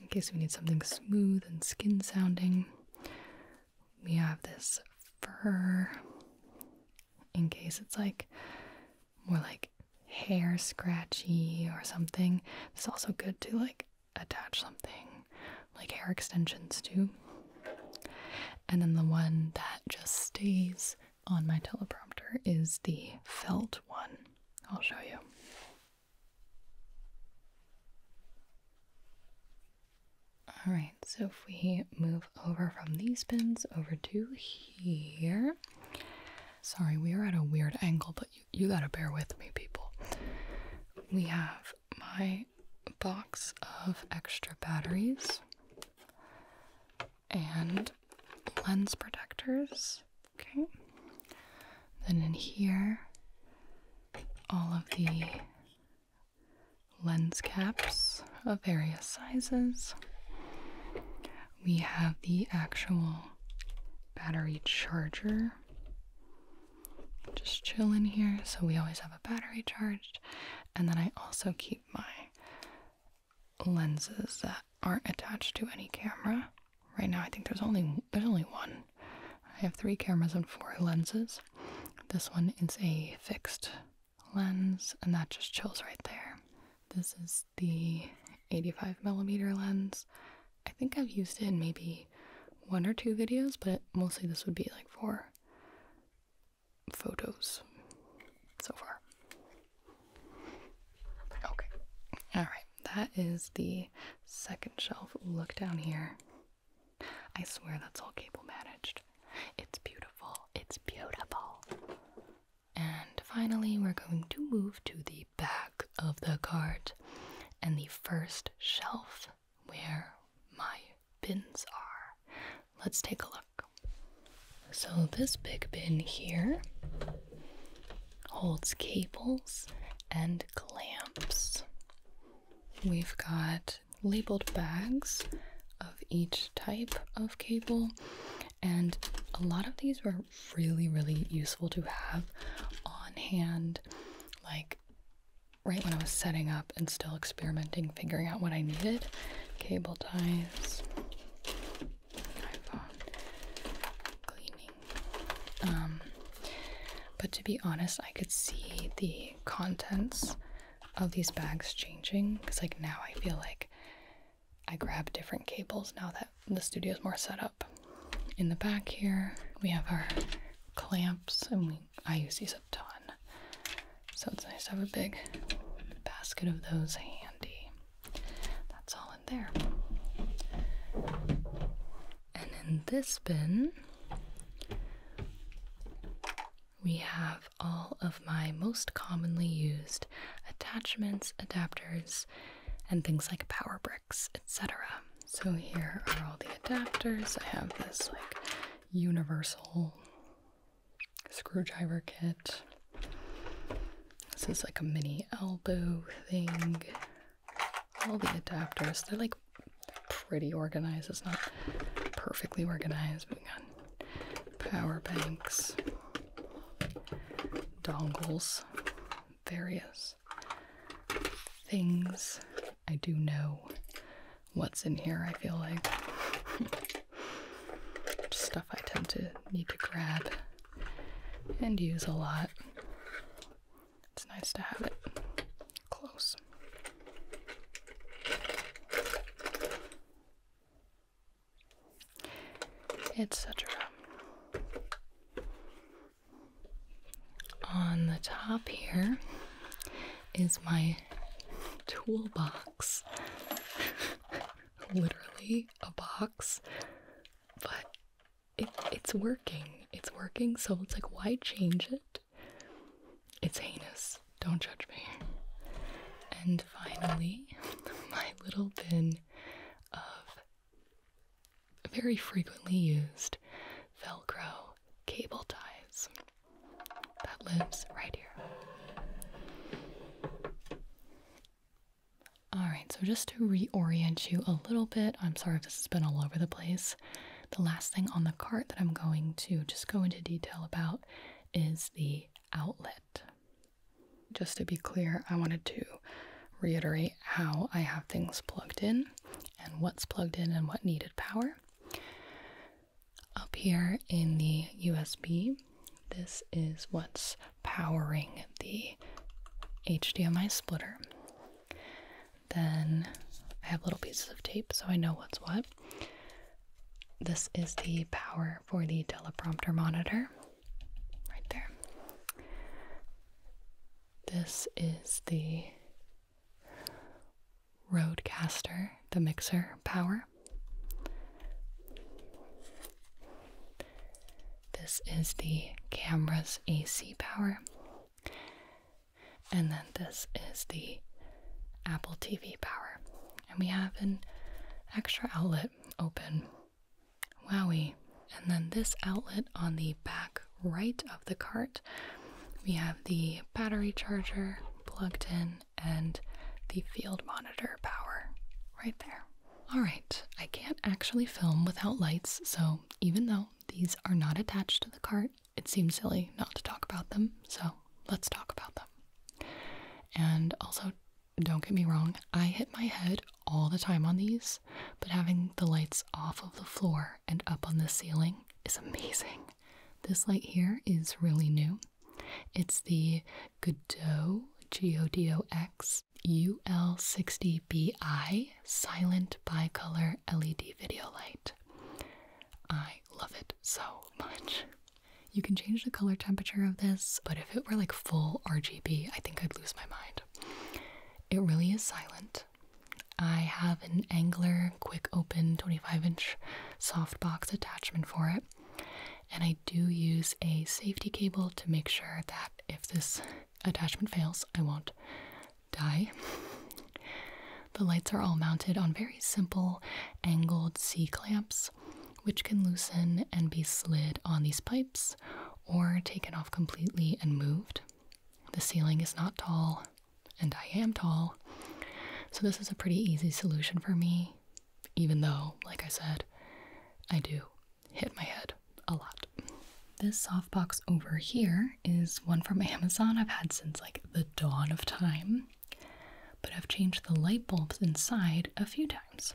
in case we need something smooth and skin sounding. We have this fur in case it's like more like hair scratchy or something. It's also good to like attach something like hair extensions too. And then the one that just stays on my teleprompter is the felt one. I'll show you. All right, so if we move over from these bins over to here. Sorry, we are at a weird angle, but you, you gotta bear with me, people. We have my box of extra batteries and lens protectors Okay. Then in here, all of the lens caps of various sizes. We have the actual battery charger. Just chill in here, so we always have a battery charged. And then I also keep my lenses that aren't attached to any camera Right now, I think there's only there's only one. I have three cameras and four lenses. This one is a fixed lens, and that just chills right there. This is the 85 millimeter lens. I think I've used it in maybe one or two videos, but mostly this would be like four photos so far. Okay, all right. That is the second shelf. Look down here. I swear that's all cable managed. It's beautiful. It's beautiful. And finally, we're going to move to the back of the cart and the first shelf where my bins are. Let's take a look. So, this big bin here holds cables and clamps. We've got labeled bags of each type of cable, and a lot of these were really, really useful to have on hand, like right when I was setting up and still experimenting, figuring out what I needed. Cable ties, um, but to be honest, I could see the contents of these bags changing because, like, now I feel like I grab different cables now that the studio's more set up. In the back here, we have our clamps, and we I use these a ton, so it's nice to have a big basket of those handy. That's all in there. And in this bin, we have all of my most commonly used attachments, adapters, and things like power bricks, etc. So here are all the adapters. I have this like universal screwdriver kit. This is like a mini elbow thing all the adapters. They're like pretty organized. It's not perfectly organized, but we got power banks, dongles, various things. I do know what's in here, I feel like. Stuff I tend to need to grab and use a lot. It's nice to have it close. Etc. On the top here is my toolbox. Literally a box, but it, it's working. It's working, so it's like, why change it? It's heinous. Don't judge me. And finally, my little bin of very frequently used Velcro cable ties that lives right here. All right, so just to reorient you a little bit, I'm sorry if this has been all over the place. The last thing on the cart that I'm going to just go into detail about is the outlet. Just to be clear, I wanted to reiterate how I have things plugged in and what's plugged in and what needed power. Up here in the USB, this is what's powering the HDMI splitter. Then I have little pieces of tape so I know what's what. This is the power for the teleprompter monitor, right there. This is the Rodecaster, the mixer power. This is the camera's AC power. And then this is the Apple TV power. And we have an extra outlet open. Wowie. And then this outlet on the back right of the cart, we have the battery charger plugged in and the field monitor power right there. All right, I can't actually film without lights, so even though these are not attached to the cart. It seems silly not to talk about them, so let's talk about them. And also, don't get me wrong, I hit my head all the time on these, but having the lights off of the floor and up on the ceiling is amazing. This light here is really new. It's the Godot G O D O X U L 60 B I Silent bi-color LED video light. I love it so much. You can change the color temperature of this, but if it were like full RGB, I think I'd lose my mind. It really is silent. I have an Angler quick open 25 inch softbox attachment for it, and I do use a safety cable to make sure that if this attachment fails, I won't die. the lights are all mounted on very simple angled C clamps, which can loosen and be slid on these pipes or taken off completely and moved. The ceiling is not tall, and I am tall, so this is a pretty easy solution for me, even though, like I said, I do hit my head a lot. This softbox over here is one from Amazon I've had since like the dawn of time, but I've changed the light bulbs inside a few times.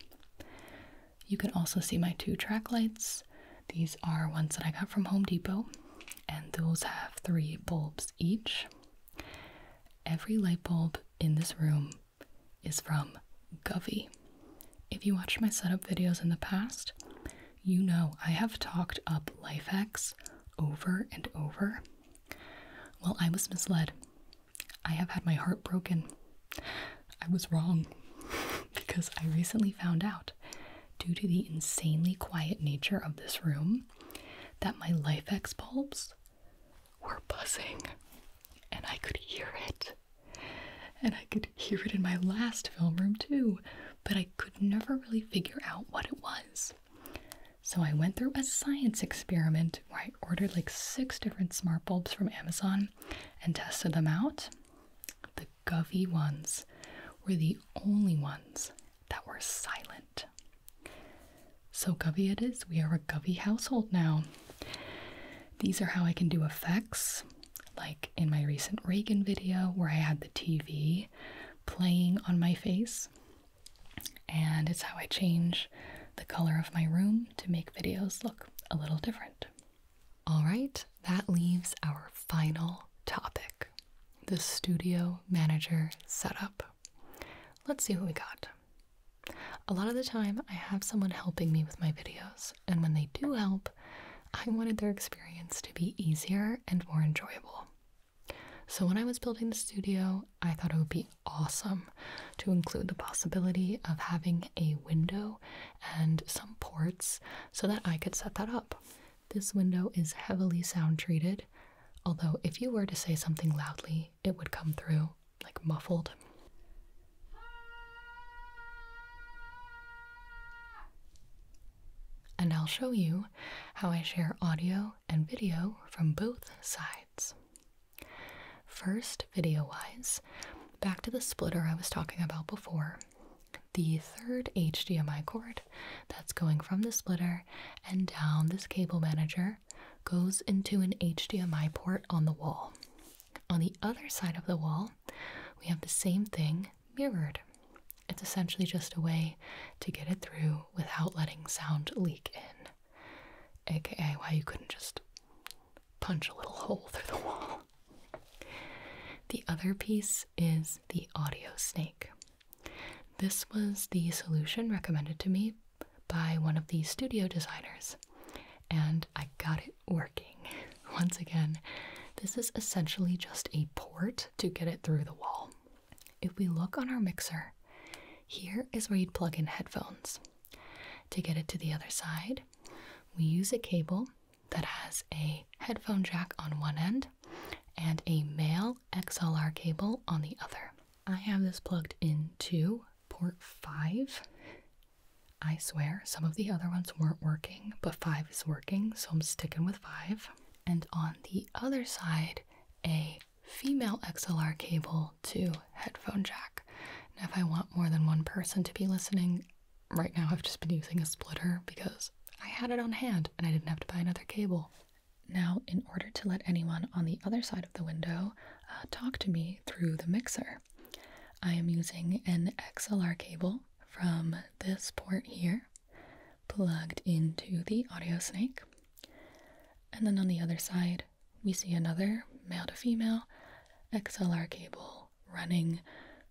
You can also see my two track lights. These are ones that I got from Home Depot, and those have three bulbs each. Every light bulb in this room is from Govee. If you watched my setup videos in the past, you know I have talked up LifeX over and over. Well, I was misled. I have had my heart broken. I was wrong because I recently found out, due to the insanely quiet nature of this room, that my LifeX bulbs were buzzing and I could hear it. And I could hear it in my last film room too, but I could never really figure out what it was. So I went through a science experiment where I ordered like six different smart bulbs from Amazon and tested them out. The Govee ones were the only ones that were silent. So Govee it is. We are a Govee household now. These are how I can do effects like in my recent Reagan video where I had the TV playing on my face. And it's how I change the color of my room to make videos look a little different. All right, that leaves our final topic the studio manager setup. Let's see what we got. A lot of the time, I have someone helping me with my videos, and when they do help, I wanted their experience to be easier and more enjoyable. So, when I was building the studio, I thought it would be awesome to include the possibility of having a window and some ports so that I could set that up. This window is heavily sound treated, although, if you were to say something loudly, it would come through like muffled and I'll show you how I share audio and video from both sides. First, video wise, back to the splitter I was talking about before. The third HDMI cord that's going from the splitter and down this cable manager goes into an HDMI port on the wall. On the other side of the wall, we have the same thing mirrored. It's essentially just a way to get it through without letting sound leak in, aka why you couldn't just punch a little hole through the wall. The other piece is the audio snake. This was the solution recommended to me by one of the studio designers, and I got it working. Once again, this is essentially just a port to get it through the wall. If we look on our mixer, here is where you'd plug in headphones. To get it to the other side, we use a cable that has a headphone jack on one end and a male XLR cable on the other. I have this plugged into port 5. I swear some of the other ones weren't working, but 5 is working, so I'm sticking with 5 and on the other side, a female XLR cable to headphone jack. Now, if I want more than one person to be listening, right now I've just been using a splitter because I had it on hand and I didn't have to buy another cable. Now, in order to let anyone on the other side of the window uh, talk to me through the mixer, I am using an XLR cable from this port here plugged into the audio snake. And then on the other side, we see another male to female XLR cable running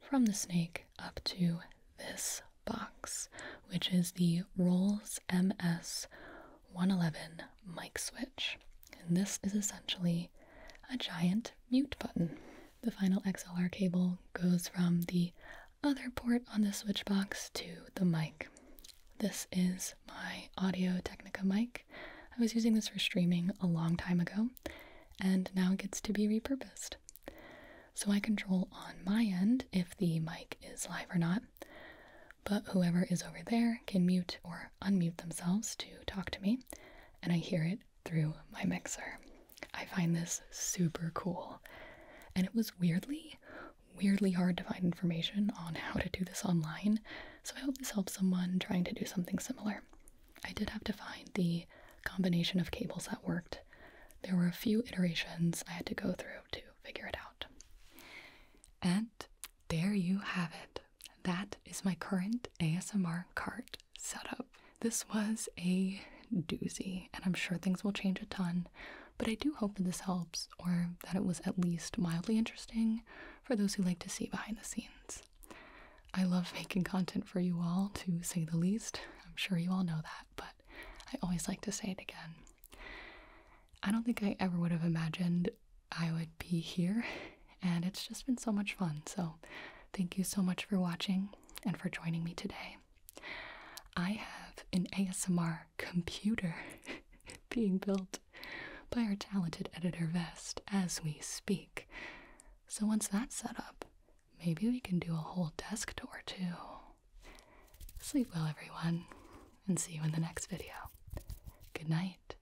from the snake up to this box, which is the Rolls MS 111 mic switch. And this is essentially a giant mute button. The final XLR cable goes from the other port on the switch box to the mic. This is my Audio Technica mic. I was using this for streaming a long time ago, and now it gets to be repurposed. So I control on my end if the mic is live or not, but whoever is over there can mute or unmute themselves to talk to me, and I hear it through my mixer. I find this super cool. And it was weirdly, weirdly hard to find information on how to do this online, so I hope this helps someone trying to do something similar. I did have to find the combination of cables that worked. There were a few iterations I had to go through to figure it out. And there you have it. That is my current ASMR cart setup. This was a doozy, and I'm sure things will change a ton, but I do hope that this helps or that it was at least mildly interesting for those who like to see behind the scenes. I love making content for you all, to say the least. I'm sure you all know that, but I always like to say it again. I don't think I ever would have imagined I would be here, and it's just been so much fun. So, thank you so much for watching and for joining me today. I have an ASMR computer being built by our talented editor Vest as we speak. So once that's set up, maybe we can do a whole desk tour too. Sleep well, everyone, and see you in the next video. Good night.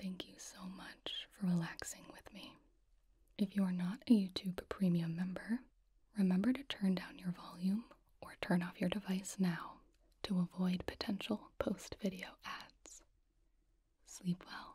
Thank you so much for relaxing with me. If you are not a YouTube Premium member, remember to turn down your volume or turn off your device now to avoid potential post video ads. Sleep well.